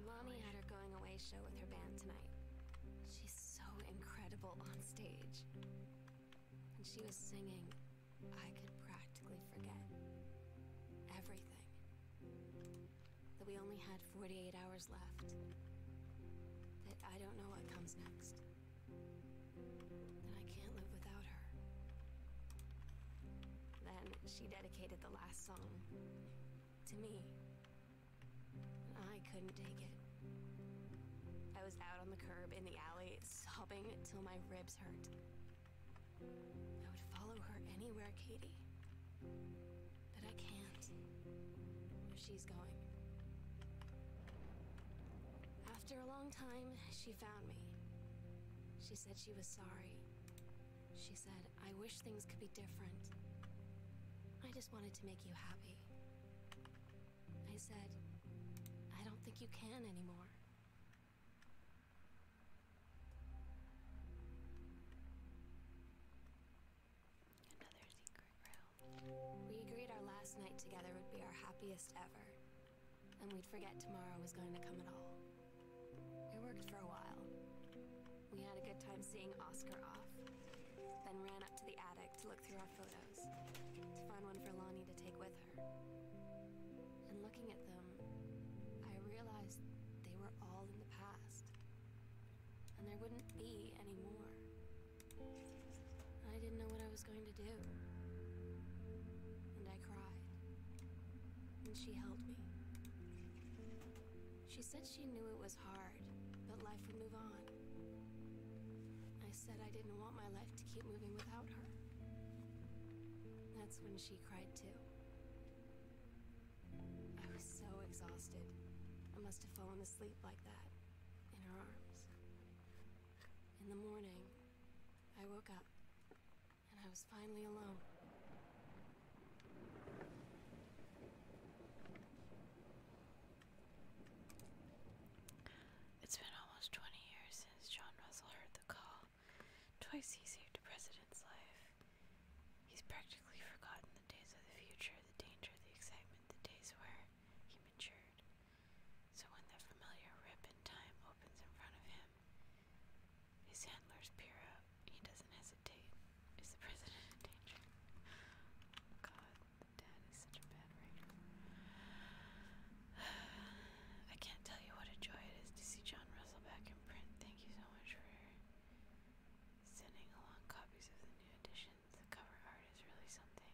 Mommy uh, had her going away show with her band tonight. She's so incredible on stage. And she was singing, I could practically forget everything that we only had 48 hours left. That I don't know what comes next. That I can't live without her. Then she dedicated the last song to me. I couldn't take it. I was out on the curb in the alley, sobbing till my ribs hurt. I would follow her anywhere, Katie. But I can't. Where she's going. After a long time, she found me. She said she was sorry. She said, I wish things could be different. I just wanted to make you happy. I said, I don't think you can anymore. We agreed our last night together would be our happiest ever. And we'd forget tomorrow was going to come at all. It worked for a while. We had a good time seeing Oscar off. Then ran up to the attic to look through our photos. To find one for Lonnie to take with her. And looking at them, I realized they were all in the past. And there wouldn't be any more. I didn't know what I was going to do. And I cried. And she held me. She said she knew it was hard, but life would move on. I said I didn't want my life to keep moving without her. That's when she cried too. I was so exhausted. I must have fallen asleep like that in her arms. In the morning, I woke up, and I was finally alone. It's been almost 20 years since John Russell heard the call. Twice he saved a president's life. He's practically forgotten the days of the future, the danger, the excitement the days where he matured. So when that familiar rip in time opens in front of him, his handlers peer up. He doesn't hesitate. Is the president in danger? God, the dad is such a bad writer. I can't tell you what a joy it is to see John Russell back in print. Thank you so much for sending along copies of the new edition the cover art is really something.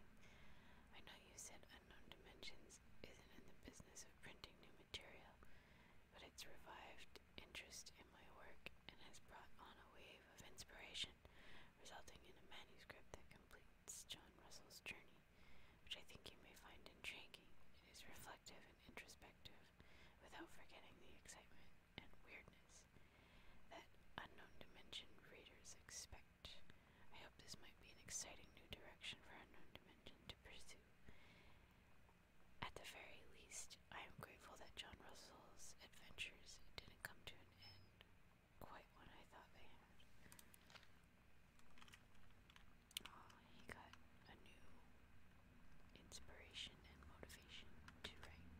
I know you said Unknown Dimensions isn't in the business of printing new material, but it's revived interest in my work and has brought on a wave of inspiration, resulting in a manuscript that completes John Russell's journey, which I think you may find intriguing. It is reflective and introspective without forgetting the excitement and weirdness that unknown dimension readers expect. I hope this might be an exciting new direction for unknown dimension to pursue. At the very least, I am grateful that John Russell's adventures didn't come to an end quite when I thought they had. Oh, he got a new inspiration and motivation to write.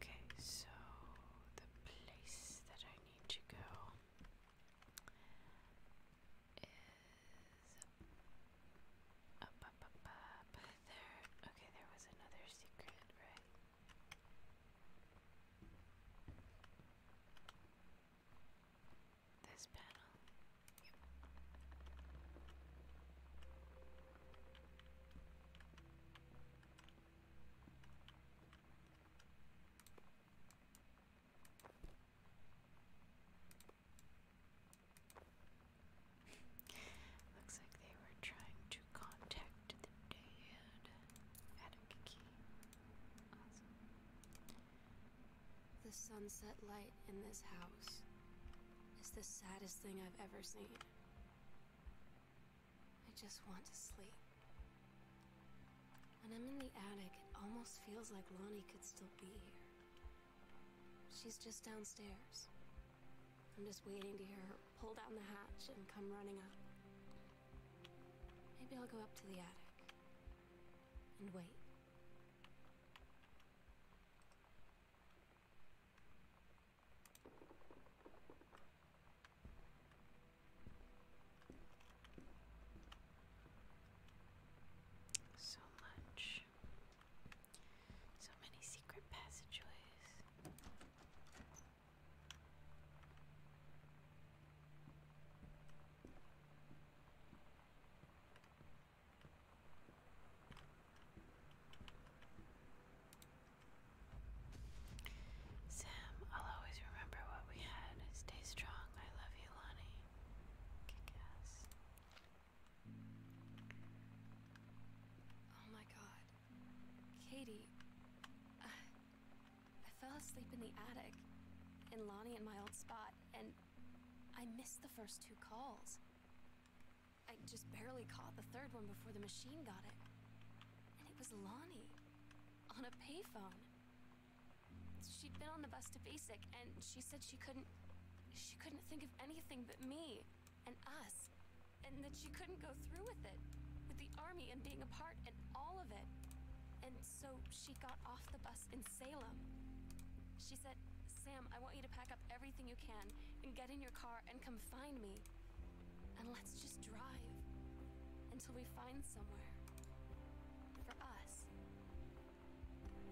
Okay, so the place that I need to go is up, up, up, up there. Okay, there was another secret, right? This panel. Looks like they were trying to contact the dead. Adding The sunset light in this house is the saddest thing I've ever seen. I just want to sleep. When I'm in the attic, it almost feels like Lonnie could still be here. She's just downstairs. I'm just waiting to hear her pull down the hatch and come running up. Maybe I'll go up to the attic and wait. So much. So many secret passageways. Sam, I'll always remember what we had. Stay strong. I love you, Lonnie. Kick Oh my god. Katie. I, fell asleep in the attic, and Lonnie and my old spot, and I missed the first two calls. I just barely caught the third one before the machine got it. And it was Lonnie. On a payphone. She'd been on the bus to basic, and she said she couldn't... She couldn't think of anything but me. And us. And that she couldn't go through with it. With the army and being apart and all of it. And so she got off the bus in Salem. She said, Sam, I want you to pack up everything you can and get in your car and come find me. And let's just drive until we find somewhere for us.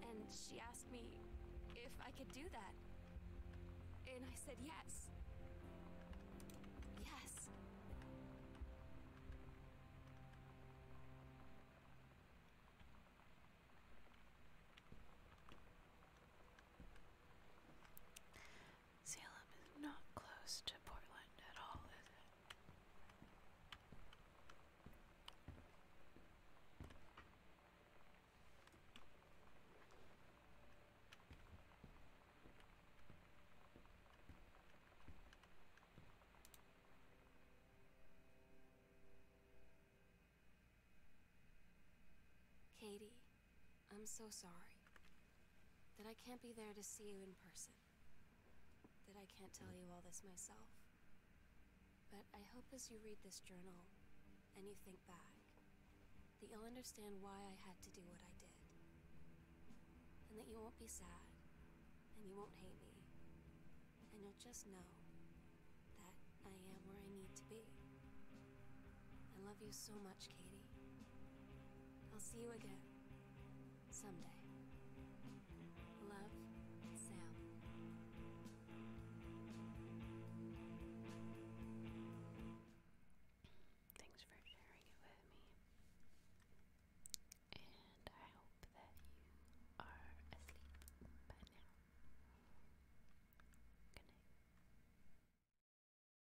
And she asked me if I could do that. And I said yes. Yes. Salem is not close to Portland at all, is it? Katie, I'm so sorry. That I can't be there to see you in person. That I can't tell you all this myself. But I hope as you read this journal, and you think back, that you'll understand why I had to do what I did. And that you won't be sad, and you won't hate me. And you'll just know that I am where I need to be. I love you so much, Katie. I'll see you again. Someday. Love, Sam. Thanks for sharing it with me. And I hope that you are asleep by now. Good